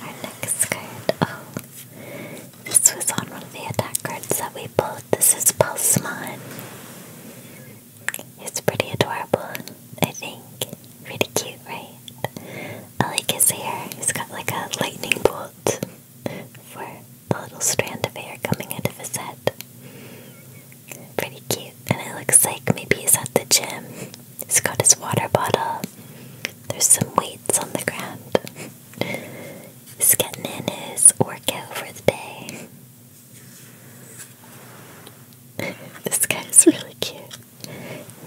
Our next card. Oh, this was on one of the attack cards that we pulled. This is Pulsemon. It's pretty adorable, I think. Pretty cute, right? I like his hair. He's got like a lightning bolt for a little strand of hair coming out of his head. Pretty cute. And it looks like maybe he's at the gym. He's got his water bottle. There's some weights on the ground. he's getting in his workout for the day. *laughs* this guy is really cute.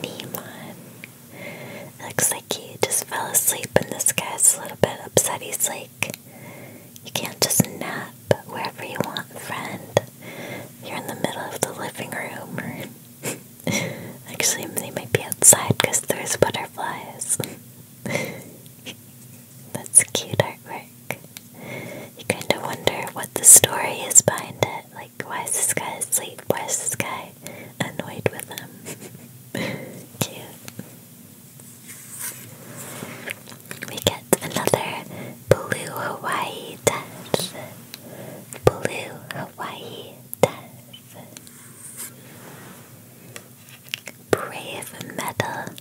Nemon. looks like he just fell asleep and this guy's a little bit upset. He's like, you can't just nap wherever you want, friend. You're in the middle of the living room. Or *laughs* Actually, they might be outside because there's butterflies. *laughs* That's cute artwork. You kind of wonder what the story is behind it. like like, why is this guy asleep? Why is this guy annoyed with him? *laughs* Cute. We get another blue Hawaii death. Blue Hawaii death. Brave metal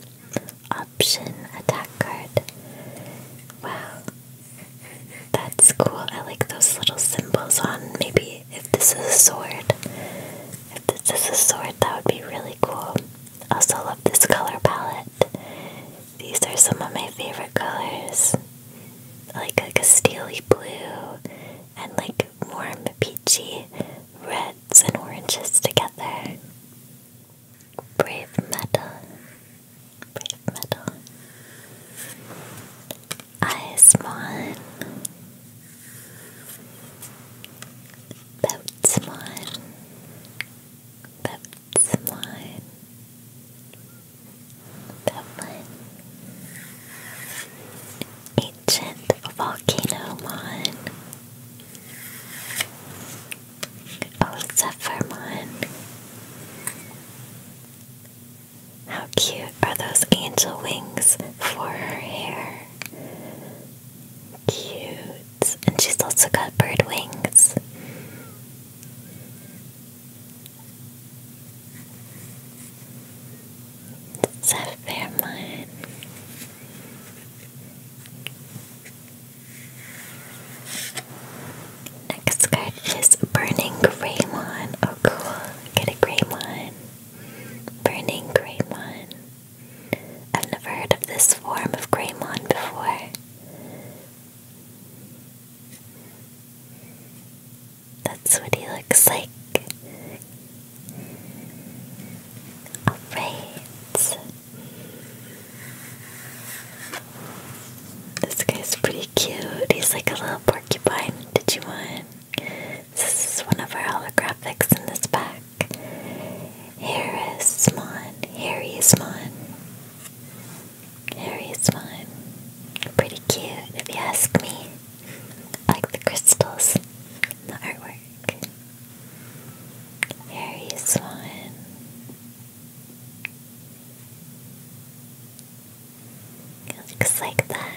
option attack card. Wow, that's cool. I like those little symbols on. Maybe if this is a sword. If this is a sword, that would be really cool. Also love this color palette. These are some of my favorite colors. I like like a steely blue and like warm peachy reds and oranges together. Brave metal. Bright metal. Eyes one. Boats one. Boats one. That one. Ancient volcano mon. Oh, Zephyr how cute are those angel wings for her hair? Cute. And she's also got bird wings. It's Next card is Burning Greymon. Oh, cool. Get a Greymon. Burning Greymon. I've never heard of this form of Greymon before. That's what he looks like. Alright. This guy's pretty cute. He's like a little porcupine Did you want? This is one of our holographics in this pack. Harris Mon. Harry's Mon. Harry's Mon. Pretty cute, if you ask me. I like the crystals the artwork. Harry Swan. It looks like that.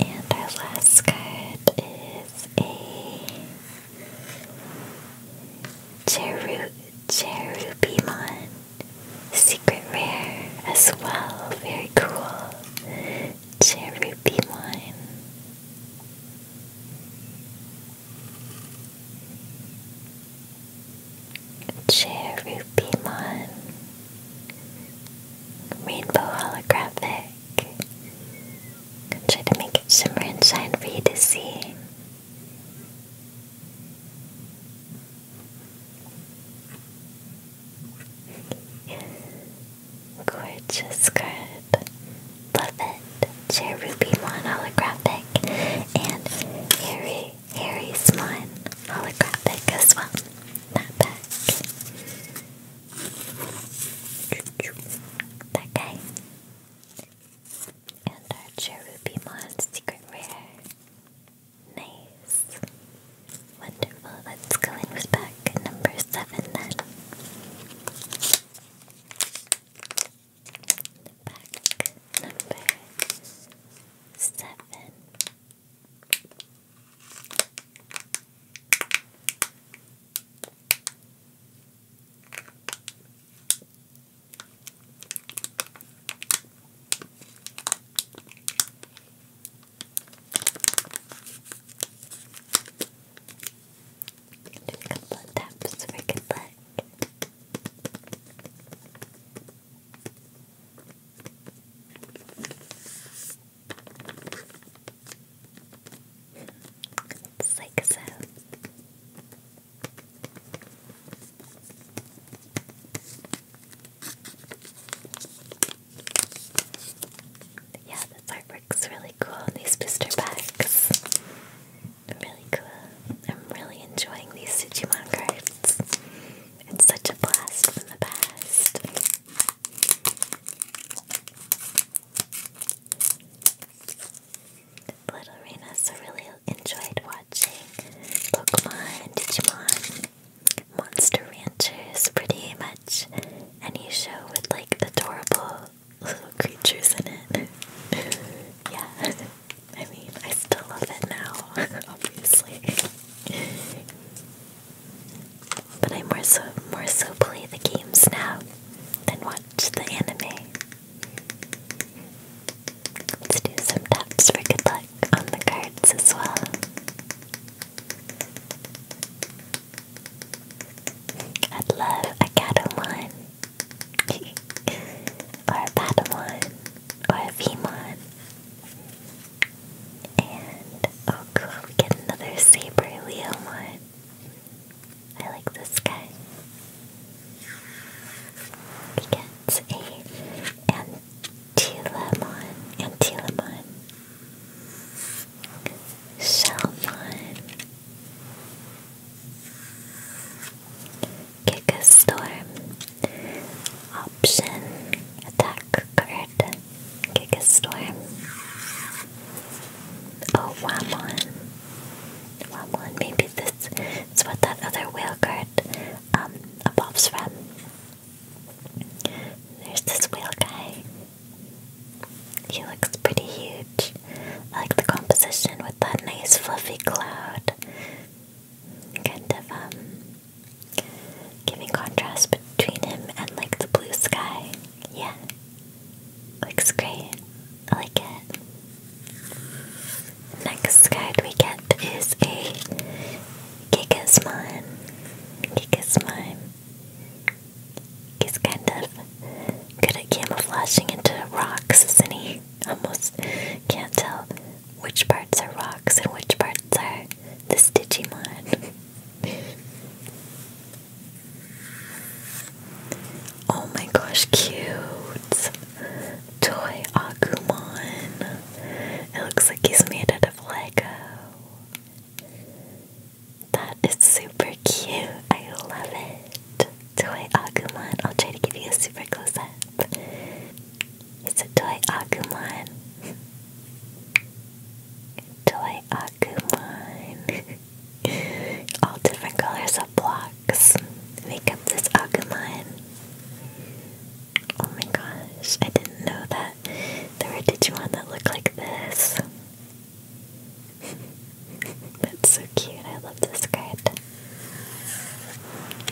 And our last card is a Cheru Cherubimon secret rare as well. Very cool. Cherubimon. Cherubimon, Rainbow Holographic. try to make it shimmer and shine for you to see. Gorgeous card. Love it. Cherubimon Holographic and Harry Harry Swan holographic as well. Not back. That guy. And our Cherubimon secret rare. Nice. Wonderful. Let's go in with pack number seven then. Pack number seven. Just a couple of taps for good luck. It's like so. Yeah, this artwork's really cool. These booster packs. Really cool. I'm really enjoying these Digimon cards. It's such a blast from the past. Little Rena so really enjoyed watching Pokemon, Digimon, Monster Ranchers pretty much any show with like adorable little creatures in it. *laughs* yeah. *laughs* I mean, I still love it now, *laughs* obviously. but I more so more so play the games now than watch the anime. Let's do some taps for good luck on the cards as well. I'd love a Catamon, *laughs* or a Patamon, or a Vemon, and oh cool, we get another saber wheel one. I like this guy. We get a Antilamon. Antilamon. Shalmon kick a storm. Option attack card, kick a storm. Oh, Wamon. Wamon, maybe this is what that other whale card um, evolves from. There's this whale guy. He looks pretty huge. I like the composition with that nice fluffy cloud kind of um, giving contrast between him and like the blue sky. Yeah. Looks great. I like it. Next card we get is a Gigasmon. Gigasmon. He's kind of good at camouflaging into rocks, is he? Almost can't tell which parts are rocks and which parts are this *laughs* Digimon. oh my gosh, cute! Toy Agumon. It looks like he's made out of Lego. That is super cute. I love it. Toy Agumon. I'll try to give you a super close up. It's a toy Agumon. toy Agumon. *laughs* All different colors of blocks make up this Agumon. Oh my gosh, I didn't know that there were Digimon that look like this. *laughs* That's so cute, I love this card.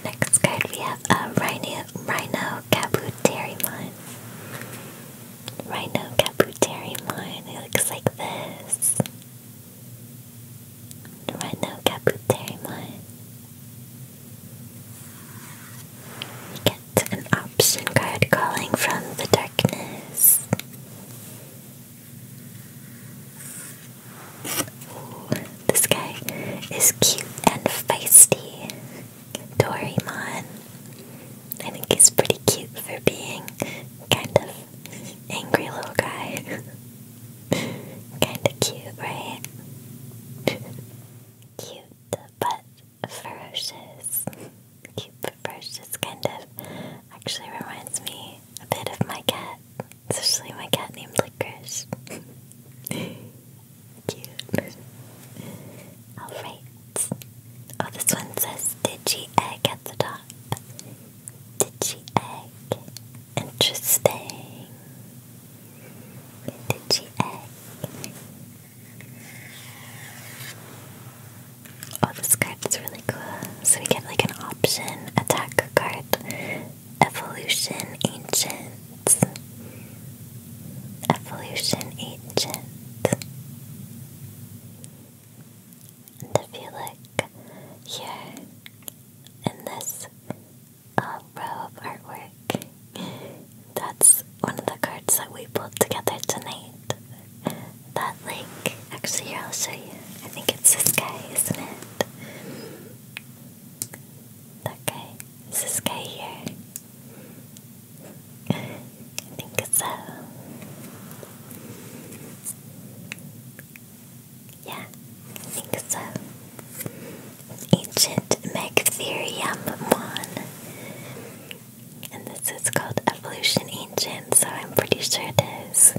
Next card we have a Rhino, Rhino Kabuterimon. Rhino mine. It looks like this. Rhino Kabuterimon. We get an option card calling from the darkness. This guy is cute and feisty. Doraemon. I think he's pretty cute for being kind of angry little guy. *laughs* kind of cute, right? *laughs* cute but ferocious. *laughs* Cute but ferocious kind of actually reminds me a bit of my cat, especially my cat named Licorice. Cute. Alright. Oh, this one says Digi Egg at the top. Digi Egg. Interesting. Digi Egg. Oh, this card is really cool. So we get like an option, attack card, evolution, ancient. Evolution Agent and if you look here in this um, row of artwork, that's one of the cards that we pulled together tonight. That like, actually here I'll show you. I think it's this guy, isn't it? That guy. this guy here? I think so. Uh, yeah, I think so. Uh, ancient Megatherium Mon. And this is called Evolution Ancient, so I'm pretty sure it is.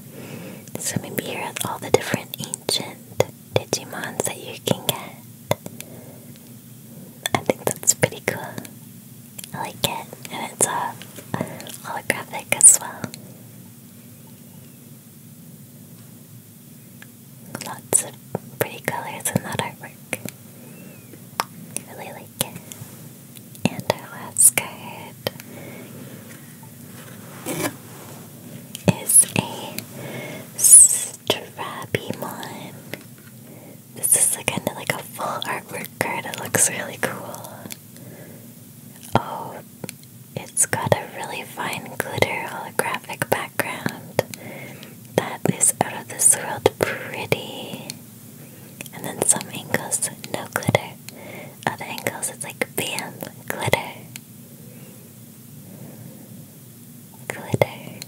So maybe here are all the different ancient Digimon that you can get. I think that's pretty cool. I like it, and it's uh, holographic as well. Lots of pretty colors in that artwork. really like it. And our last card is a Drabimon. This is a, kind of like a full artwork card. It looks really cool. Oh, it's got a really fine glitter holographic background. That is out of this world pretty. And then some angles, no glitter. Other angles, it's like bam, glitter. Glitter,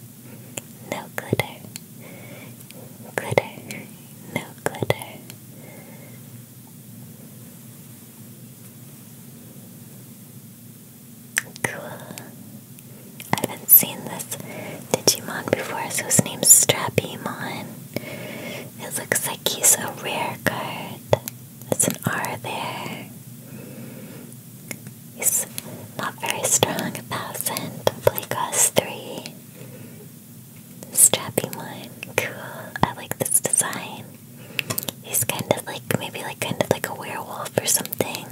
no glitter. Glitter, no glitter. Cool. I haven't seen this Digimon before, so his name's Strappymon. It looks like he's a rare card. That's an R there. He's not very strong, a thousand, play cost three. Strappy one, cool. I like this design. He's kind of like maybe like kind of like a werewolf or something.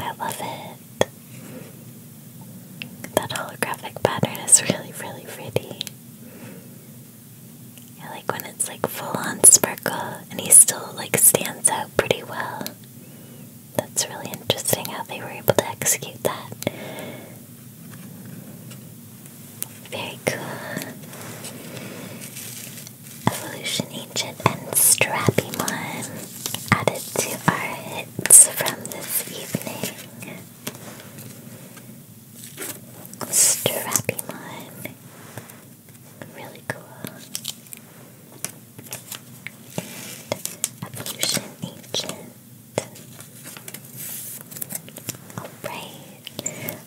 I love it. That holographic pattern is *laughs* really, really pretty like when it's like full on sparkle and he still like stands out pretty well. That's really interesting how they were able to execute that. Very cool. Evolution Ancient and Strappymon added to our hits from this evening. Strapimon. Really cool. Evolution Ancient. Alright.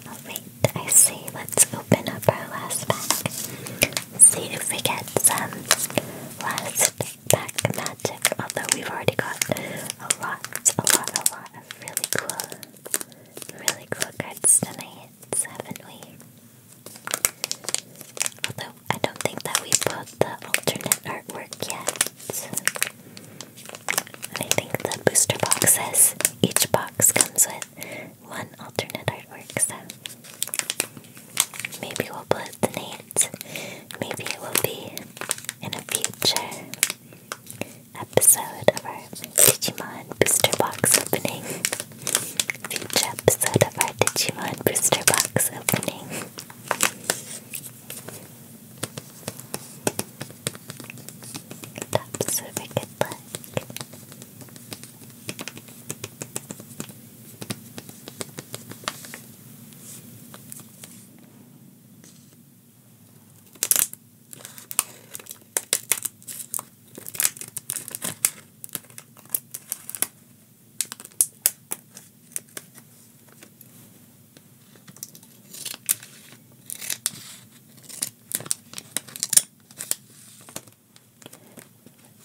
Alright, I say let's open up our last pack. See if we get some last pack magic. Although we've already got a lot, a lot, a lot of really cool really cool cards tonight, haven't we? Although I don't think that we pulled the alternate artwork yet. I think the booster boxes, each box comes with one alternate artwork, so maybe we'll put it tonight. Maybe it will be in a future episode of our Digimon Booster Box opening. Future episode of our Digimon Booster Box opening. That's a really good luck.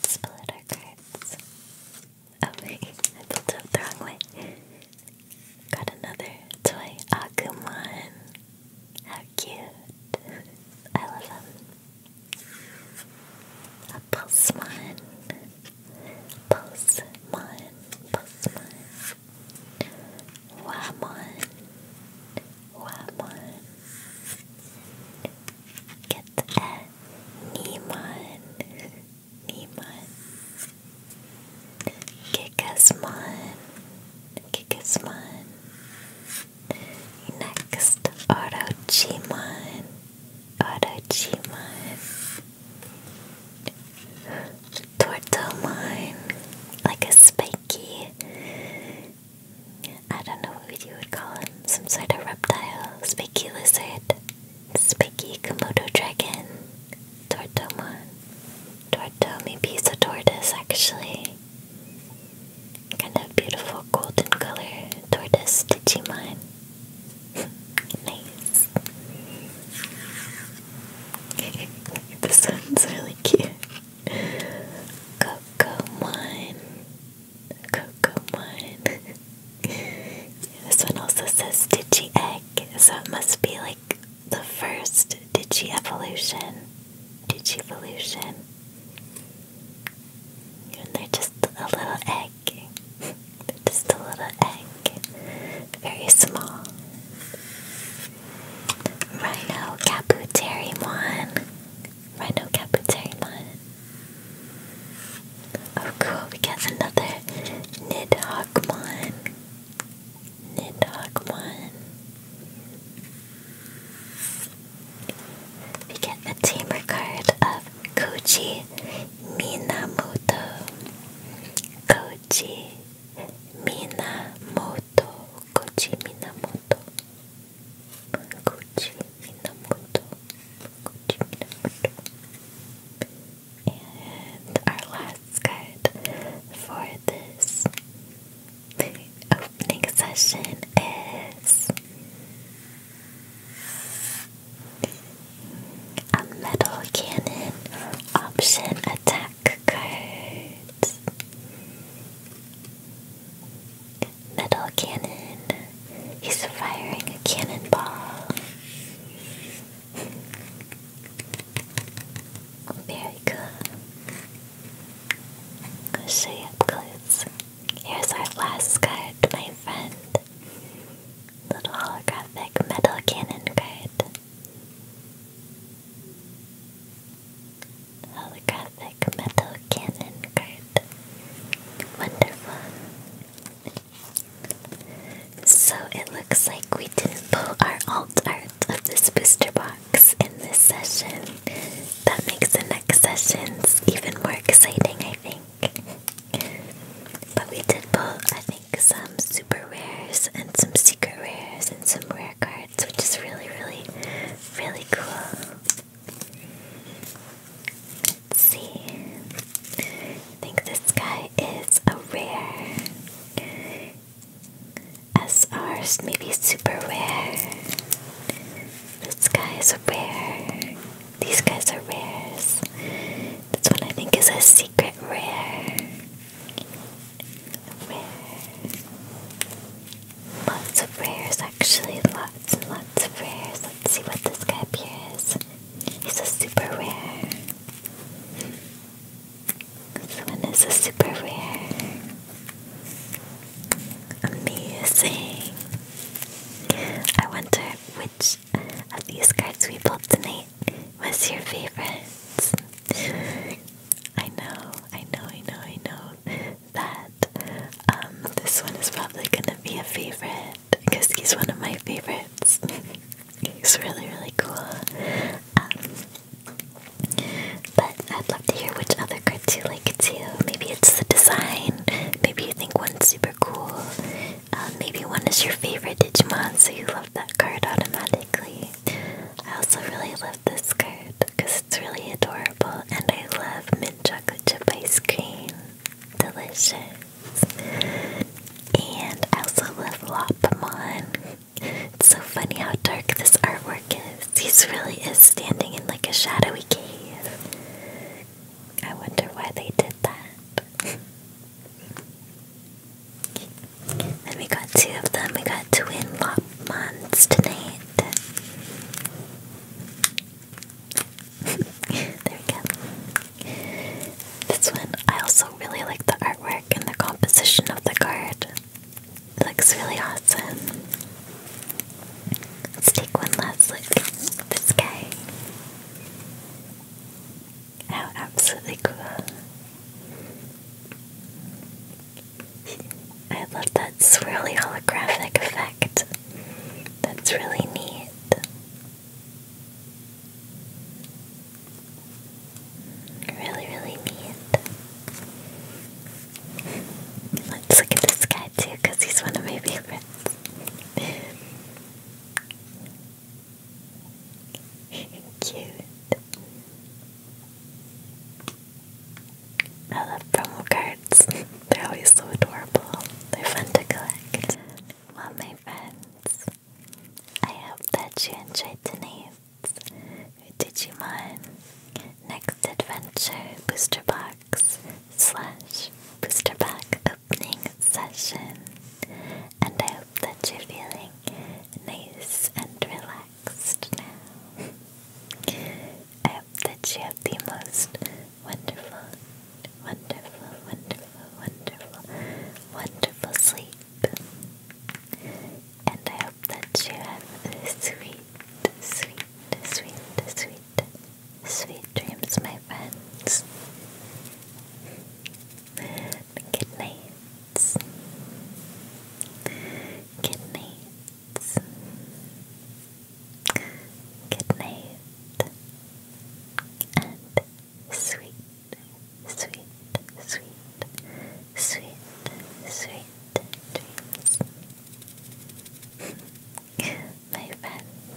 Split our cards. Oh wait, I built up the wrong way. Got another toy Agumon. How cute. I love him. A Pulsemon. Pulsemon. Pulsemon. Wamon. Wamon. Get a Nemon. Nemon. Kikasmon. Kikasmon. Next, Orochimon. Orochimon. Tortomon. Like a spiky. I don't know what you would call it. Some sort of reptile. Spiky lizard. Spiky Komodo dragon. Tortomon. Tortomi pizza tortoise actually. Kind of beautiful golden color tortoise Digimon. *laughs* nice. *laughs* this one's really cute. Cocomon. Cocomon. yeah, *laughs* this one also says Digi Egg, so it must be like the first digievolution, Evolution, and they're just a little egg. just a little egg, very small. Rhino Caputerimon. Rhino Caputerimon. Oh cool, we got another Nidhoggmon. Nidhogg won. We get a tamer card of Koji Minamoto. Koji Minamoto. Koji Minamoto. Koji Minamoto. Koji Minamoto. And our last card for this opening session is a metal cannon option attack card. Metal cannon. He's firing a cannonball. Very cool show you up Here's our last card, my friend. Little holographic metal cannon card. Holographic metal cannon card. Wonderful. So it looks like we didn't pull our alt art of this booster box in this session. That makes the next sessions even more exciting, I think. But we did pull, I think, some super rares and some secret rares and some rare cards, which is really, really, really cool. Let's see. I think this guy is a rare. SR's maybe super rare. This guy is rare. These guys are rares. This one I think is a secret rare. Rare. Lots of rares actually. Lots and lots of rares. Let's see what this guy up He's a super rare. This one is a super rare. Amazing. I wonder which of these cards we pulled tonight was your favorite. I know, I know, I know, I know that um, this one is probably gonna be a favorite because he's one of my favorites. *laughs* he's really, really cool. Um, but I'd love to hear which other cards you like too. Maybe it's the design, maybe you think one's super cool, um, maybe one is your favorite Digimon, so you love that card automatically. I also really love this card because it's really adorable, and I love mint chocolate chip ice cream. Delicious. And I also love Lopmon. It's so funny how dark this artwork is. Xerxes really is standing in like a shadowy cave. I wonder why they did that. and we got two of them. We got twin tonight. *laughs* there we go. This one, I also really like the artwork and the composition of the card. It looks really awesome. Let's take one last look at this guy. How oh, absolutely cool. I love that swirly holographic effect. That's really neat. Really, really neat. Let's look at this guy too, because he's one of my favorites. *laughs* Cute. I love promo cards. *laughs* They're always so adorable. They're fun to collect. Well, my friends, I hope that you enjoyed tonight's Digimon Next Adventure Booster Box slash Booster Pack Opening Session. And I hope that you're feeling nice and relaxed now. I hope that you have the most wonderful, wonderful, wonderful, wonderful, wonderful sleep and I hope that you have sweet, sweet, sweet, sweet, sweet dreams, my friends. Good nights. Good And sweet, sweet, sweet, sweet, sweet dreams my friends.